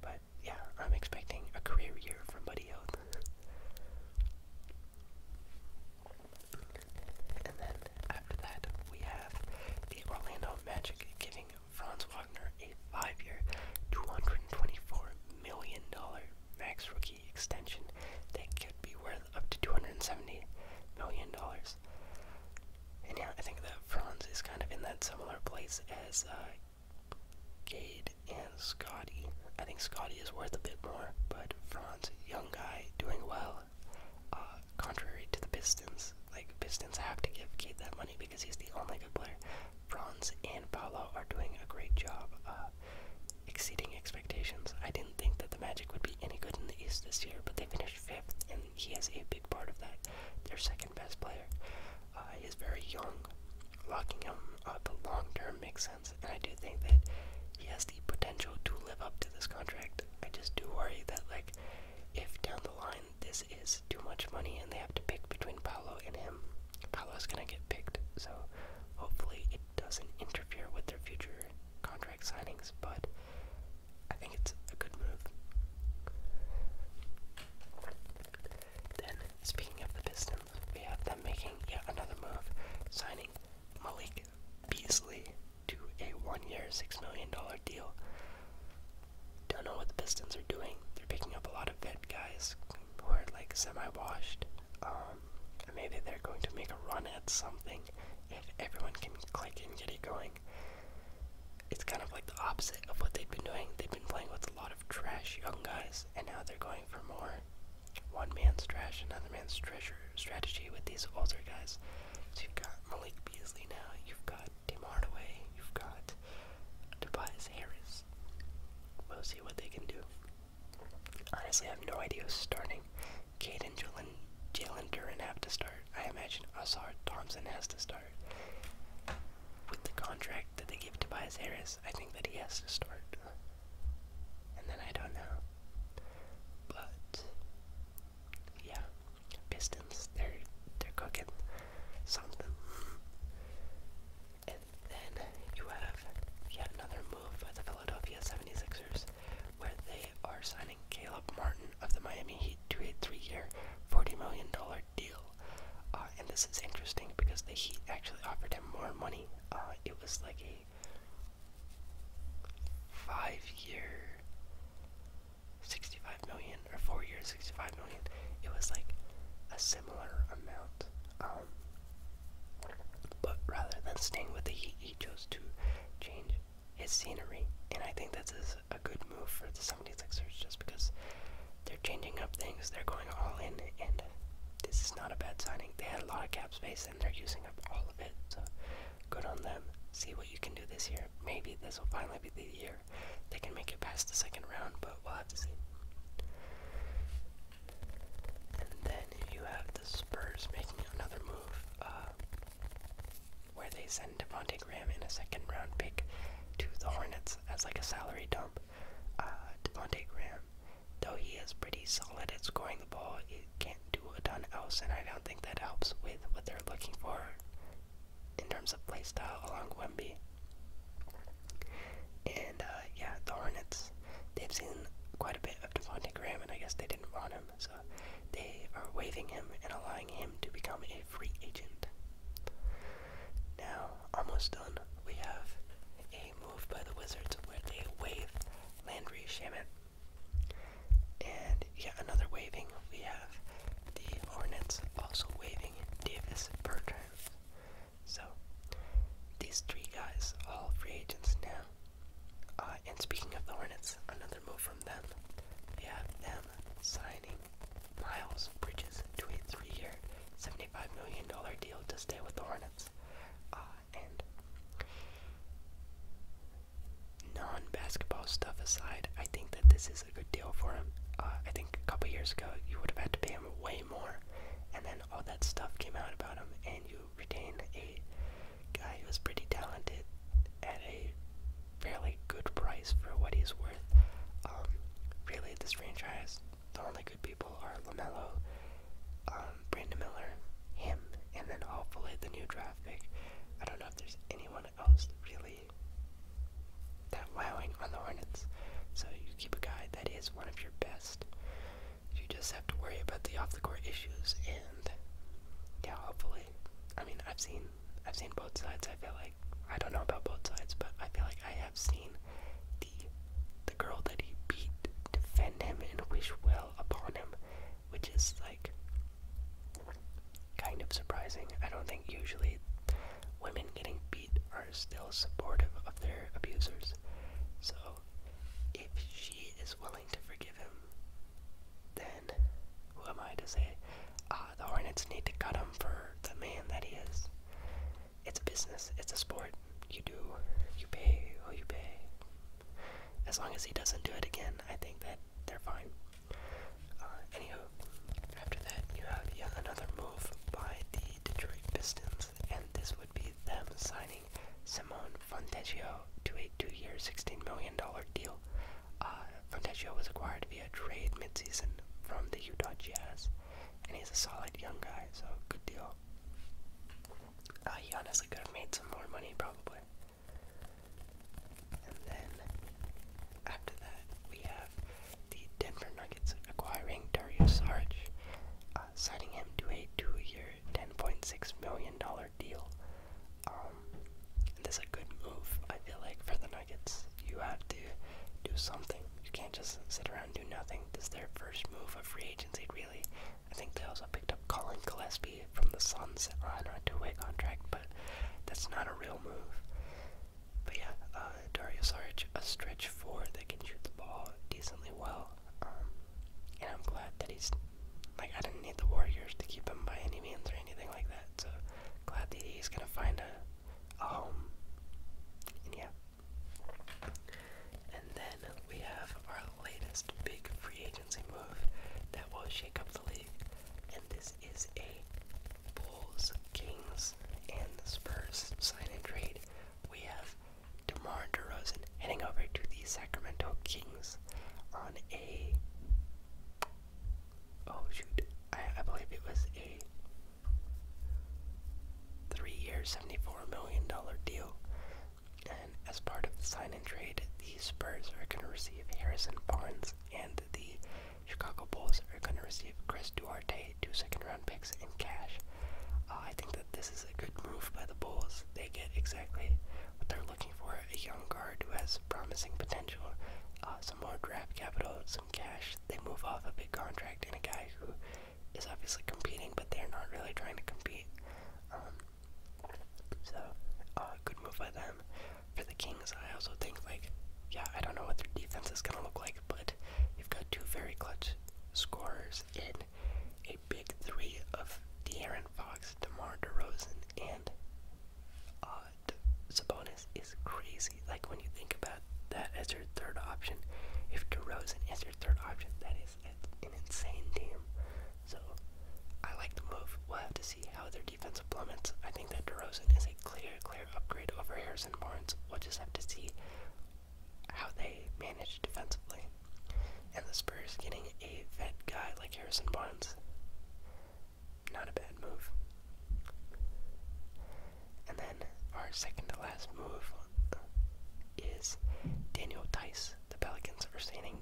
But yeah, I'm expecting a career year from Buddy Hield. And then after that, we have the Orlando Magic giving Franz Wagner a five-year, $224 million max rookie extension that could be worth up to $270 million. And yeah, I think that Franz is kind of in that similar place as uh, Gade and Scotty. I think Scotty is worth a bit more, but Franz, young guy, doing well. Uh, contrary to the Pistons, like Pistons have to give Kate that money because he's the only good player. Franz and Paolo are doing a great job, uh, exceeding expectations. I didn't think that the Magic would be any good in the East this year, but they finished fifth, and he is a big part of that. Their second best player. Uh, he is very young locking him up long term makes sense, and I do think that he has the potential to live up to this contract. I just do worry that, like, if down the line this is too much money and they have to pick between Paolo and him, Paolo is gonna get picked. So hopefully it doesn't interfere with their future contract signings, but I think it's a good move. Then, speaking of the Pistons, we have them making yet another move, signing Malik Beasley to a one-year, six million dollar deal. Don't know what the Pistons are doing. They're picking up a lot of vet guys who are like semi-washed. Um, maybe they're going to make a run at something if everyone can click and get it going. It's kind of like the opposite of what they've been doing. They've been playing with a lot of trash young guys, and now they're going for more one man's trash, another man's treasure strategy with these older guys. So you've got Malik Beasley now, you've got Tim Hardaway, you've got Tobias Harris. We'll see what they can do. Honestly, I have no idea who's starting. Kate and Jalen, Jalen Duran have to start. I imagine Osar Thompson has to start. With the contract that they give Tobias Harris, I think that he has to start and then I don't know. But yeah, Pistons, they're they're cooking something. And then you have yet another move by the Philadelphia 76ers where they are signing Caleb Martin of the Miami Heat to a three-year, $40 million deal. Uh, and this is interesting because the Heat actually offered him more money uh, it was like a five year 65 million or four years 65 million. It was like a similar amount. Um, but rather than staying with the Heat, he chose to change his scenery. And I think this is a good move for the 76ers just because they're changing up things, they're going all in, and this is not a bad signing. They had a lot of cap space and they're using up all of it, so good on them. See what you can do this year. Maybe this will finally be the year they can make it past the second round, but we'll have to see. And then you have the Spurs making another move, uh, where they send Devontae Graham in a second round pick to the Hornets as like a salary dump. Uh, Graham Though he is pretty solid at scoring the ball, he can't do a ton else, and I don't think that helps with what they're looking for in terms of play style along Wemby. And uh, yeah, the Hornets, they've seen quite a bit of Devontae Graham, and I guess they didn't want him, so they are waiving him and allowing him to become a free agent. Now, almost done, we have a moved by the Wizards, where they waive Landry Shaman. And yet another waiving, we have the Hornets also waiving Davis Bertrand. So these three guys, all free agents now. Uh, and speaking of the Hornets, another move from them. We have them signing Miles Bridges to a three-year, $75 million deal to stay with the Hornets sports uh, and non-basketball stuff aside, I think that this is a good deal for him. Uh, I think a couple years ago you would have had to pay him way more, and then all that stuff came out about him, and you retain a guy who's pretty talented at a fairly good price for what he's worth. Um, really, this franchise, the only people are LaMelo, um, Brandon Miller, him, and then hopefully the new draft pick. I don't know if there's anyone else really that wowing on the Hornets. So you keep a guy that is one of your best. You just have to worry about the off the court issues and yeah, hopefully. I mean I've seen I've seen both sides, I feel like I don't know about both sides, but I feel like I have seen the girl that he beat defend him and wish well upon him, which is like kind of surprising. I don't think usually women getting beat are still supportive of their abusers. So if she is willing to forgive him, then who am I to say? Ah, the Hornets need to cut him for the man that he is. It's a business. It's a sport. You do. You pay. Oh, you pay. As long as he doesn't do it again, I think that they're fine. Uh, anywho, after that, you have yet another move by the Detroit Pistons, and this would be them signing Simone Fontecchio to a two-year, $16 million deal. Uh, was acquired via trade midseason from the Utah Jazz, and he's a solid young guy, so good deal uh, he honestly could have made some more money, probably. And then, after that, we have the Denver Nuggets acquiring Darius Sarge, uh, signing him to a two-year, $10.6 million deal. Um, this is a good move, I feel like, for the Nuggets. You have to do something. You can't just sit around do nothing. This their first move of free free agency, really. I think they also picked up Colin Gillespie from the Suns on a two-way contract, but that's not a real move. But yeah, uh, Dario Saric, a stretch four that can shoot the ball decently well, um, and I'm glad that he's, like, I didn't need the Warriors to keep him by any means or anything like that, so glad that he's gonna find a, a home, and yeah, and then we have our latest big free agency move that will shake up the league. And this is a Bulls, Kings, and the Spurs sign and trade. We have DeMar DeRozan heading over to the Sacramento Kings on a. Oh shoot! I, I believe it was a 3 years, $74 million deal. And as part of the sign-and trade, the Spurs are going to receive Harrison Barnes, and the Chicago Bulls are going to receive Chris Duarte, two second-round picks in cash. Uh, I think that this is a good move by the Bulls. They get exactly what they're looking for, a young guard who has promising potential, uh, some more draft capital, some cash. They move off a big contract, and a guy who is obviously competing, but they're not really trying to compete. Um, so, uh, good move by them. For the Kings, I also think, like, yeah, I don't know what their defense is going to look like, but you've got two very clutch scorers in a big three of De'Aaron Fox, DeMar DeRozan, and uh, De Sabonis is crazy. Like, when you think about that as your third option, if DeRozan is your third option, that is is an insane team. So I like the move. We'll have to see how their defense plummets. I think that DeRozan is a clear, clear upgrade over Harrison Barnes. We'll just have to see how they manage defensively. And the Spurs getting a vet guy like Harrison Barnes. Not a bad move. And then our second to last move is Daniel Dice? The Pelicans are signing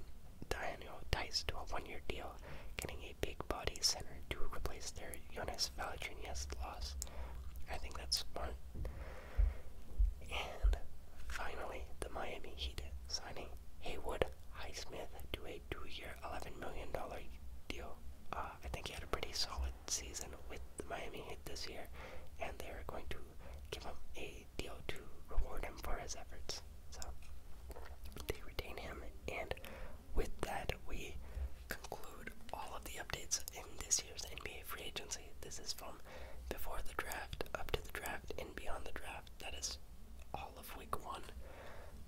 Daniel Dice to a one-year deal, getting a big-body center to replace their Jonas Valanciunas loss. I think that's smart. And finally, the Miami Heat signing Haywood Highsmith to a two-year, $11 million deal. Uh, I think he had a pretty solid season with the Miami Heat this year, and they are going to give him a deal to reward him for his efforts. So they retain him, and with that, we conclude all of the updates in this year's NBA free agency. This is from before the draft, up to the draft, and beyond the draft. That is all of week one.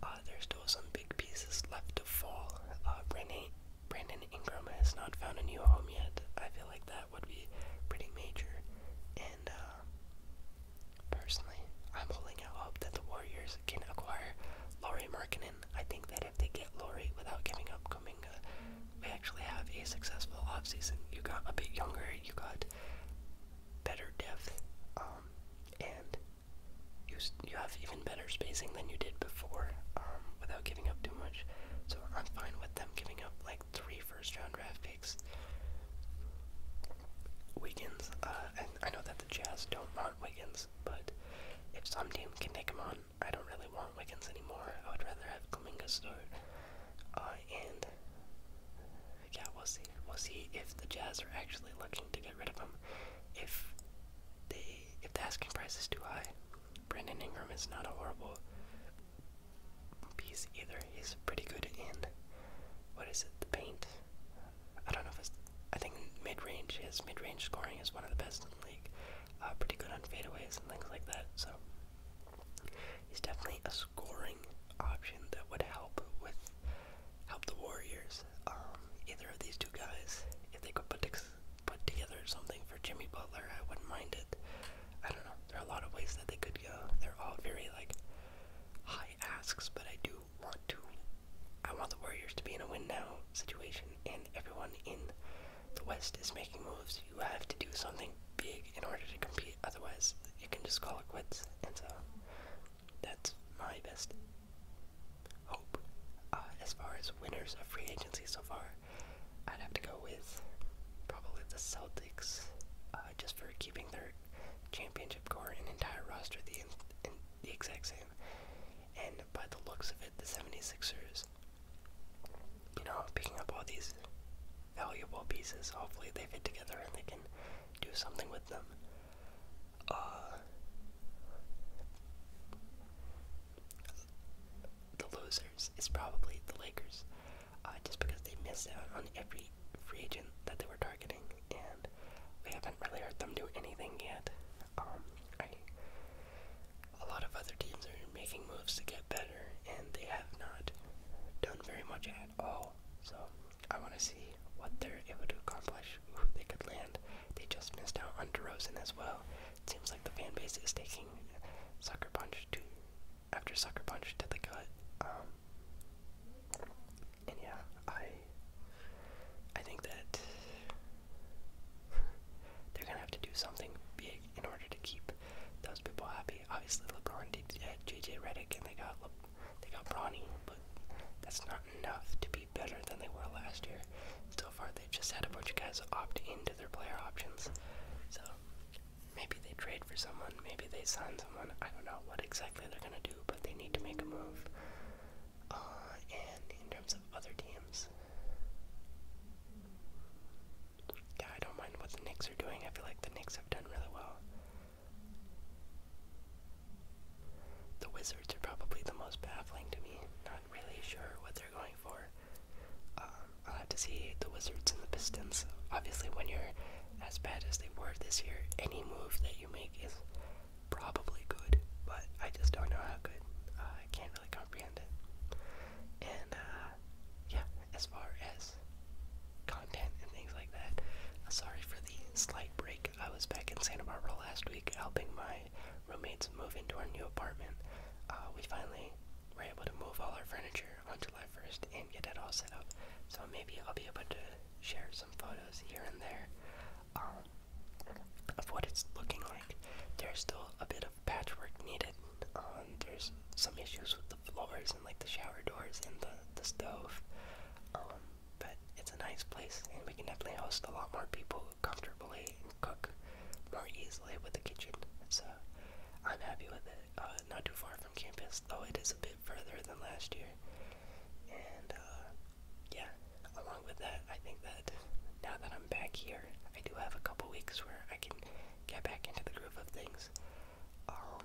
Uh, there's still some big pieces left to fall. Uh, Renee Brandon Ingram has not found a new home yet. I feel like that would be pretty major. And uh, personally, I'm holding out hope that the Warriors can acquire Laurie Markkinen. I think that if they get Laurie without giving up Kuminga, we actually have a successful offseason. You got a bit younger, you got better depth, um, and you, you have even better spacing than you did before um, without giving up too much. So I'm fine with them giving up like three first round draft picks. Wiggins, uh, I know that the Jazz don't want Wiggins, but if some team can take him on, I don't really want Wiggins anymore. I would rather have Kaminga start. Uh, and yeah, we'll see. We'll see if the Jazz are actually looking to get rid of him. If they, if the asking price is too high, Brandon Ingram is not a horrible piece either. He's pretty good in what is it? The paint. I don't know if it's. I think mid-range. is mid-range scoring is one of the best in the league. Uh, pretty good on fadeaways and things like that. So he's definitely a scoring option that would help with help the Warriors. Um, either of these two guys, if they could put put together something for Jimmy Butler, I wouldn't mind it. I don't know. There are a lot of ways that they could go. They're all very like high asks, but I do want to. I want the Warriors to be in a win now situation, and everyone in the West is making moves. You have to do something big in order to compete. Otherwise, you can just call it quits. And so, that's my best hope uh, as far as winners of free agency so far. I'd have to go with probably the Celtics, uh, just for keeping their championship core and entire roster the, exact same. And by the looks of it, the 76ers, you know, picking up all these valuable pieces, hopefully they fit together and they can do something with them. Uh, the losers is probably the Lakers, uh, just because they missed out on every free agent that they were targeting, and we haven't really heard them do anything yet. Um, a lot of other teams are making moves to get better, and they have not done very much at all. So I want to see what they're able to accomplish, who they could land. They just missed out on DeRozan as well. seems like the fan base is taking sucker punch Punch to after Sucker Punch did the cut. Um, and yeah, I I think that they're gonna have to do something big in order to keep those people happy. Obviously, LeBron did uh, JJ Redick, and they got Le they got Bronny, but that's not enough to be better than they were last year. So far, they just had a bunch of guys opt into their player options. So um, maybe they trade for someone, maybe they sign someone. I don't know what exactly they're gonna do, but they need to make a move. Uh, and in terms of other teams, yeah, I don't mind what the Knicks are doing. I feel like the Knicks have done really well. The Wizards are probably the most baffling to me. Not really sure what they're going for. Um, I'll have to see the Wizards and the Pistons. Obviously, when you're as bad as they were this year, any move that you make is probably good, but I just don't know how good. Uh, I can't really comprehend it. And, uh, yeah, as far as content and things like that, uh, sorry for the slight break. I was back in Santa Barbara last week helping my roommates move into our new apartment. we finally we're able to move all our furniture on July 1st and get it all set up. So maybe I'll be able to share some photos here and there um, of what it's looking like. There's still a bit of patchwork needed. Um, there's some issues with the floors and like the shower doors and the, the stove. Um, but it's a nice place and we can definitely host a lot more people comfortably cook more easily with the kitchen. So I'm happy with it. Uh, not too far from campus, though it is a bit further than last year. And uh, yeah, along with that, I think that now that I'm back here, I do have a couple weeks where I can get back into the groove of things. Um,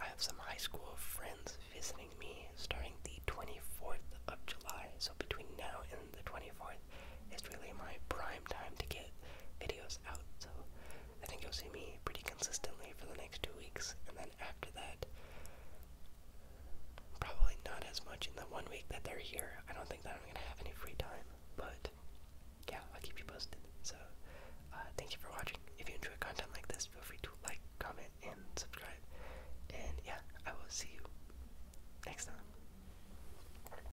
I have some high school friends visiting me starting the 24th of July, so between now and the 24th it's really my prime time to get videos out. So I think you'll see me pretty consistently for the next two weeks, and then after that, probably not as much in the one week that they're here. I don't think that I'm gonna have any free time, but yeah, I'll keep you posted. So uh, thank you for watching. If you enjoy content like this, feel free to like, comment, and subscribe. And yeah, I will see you next time.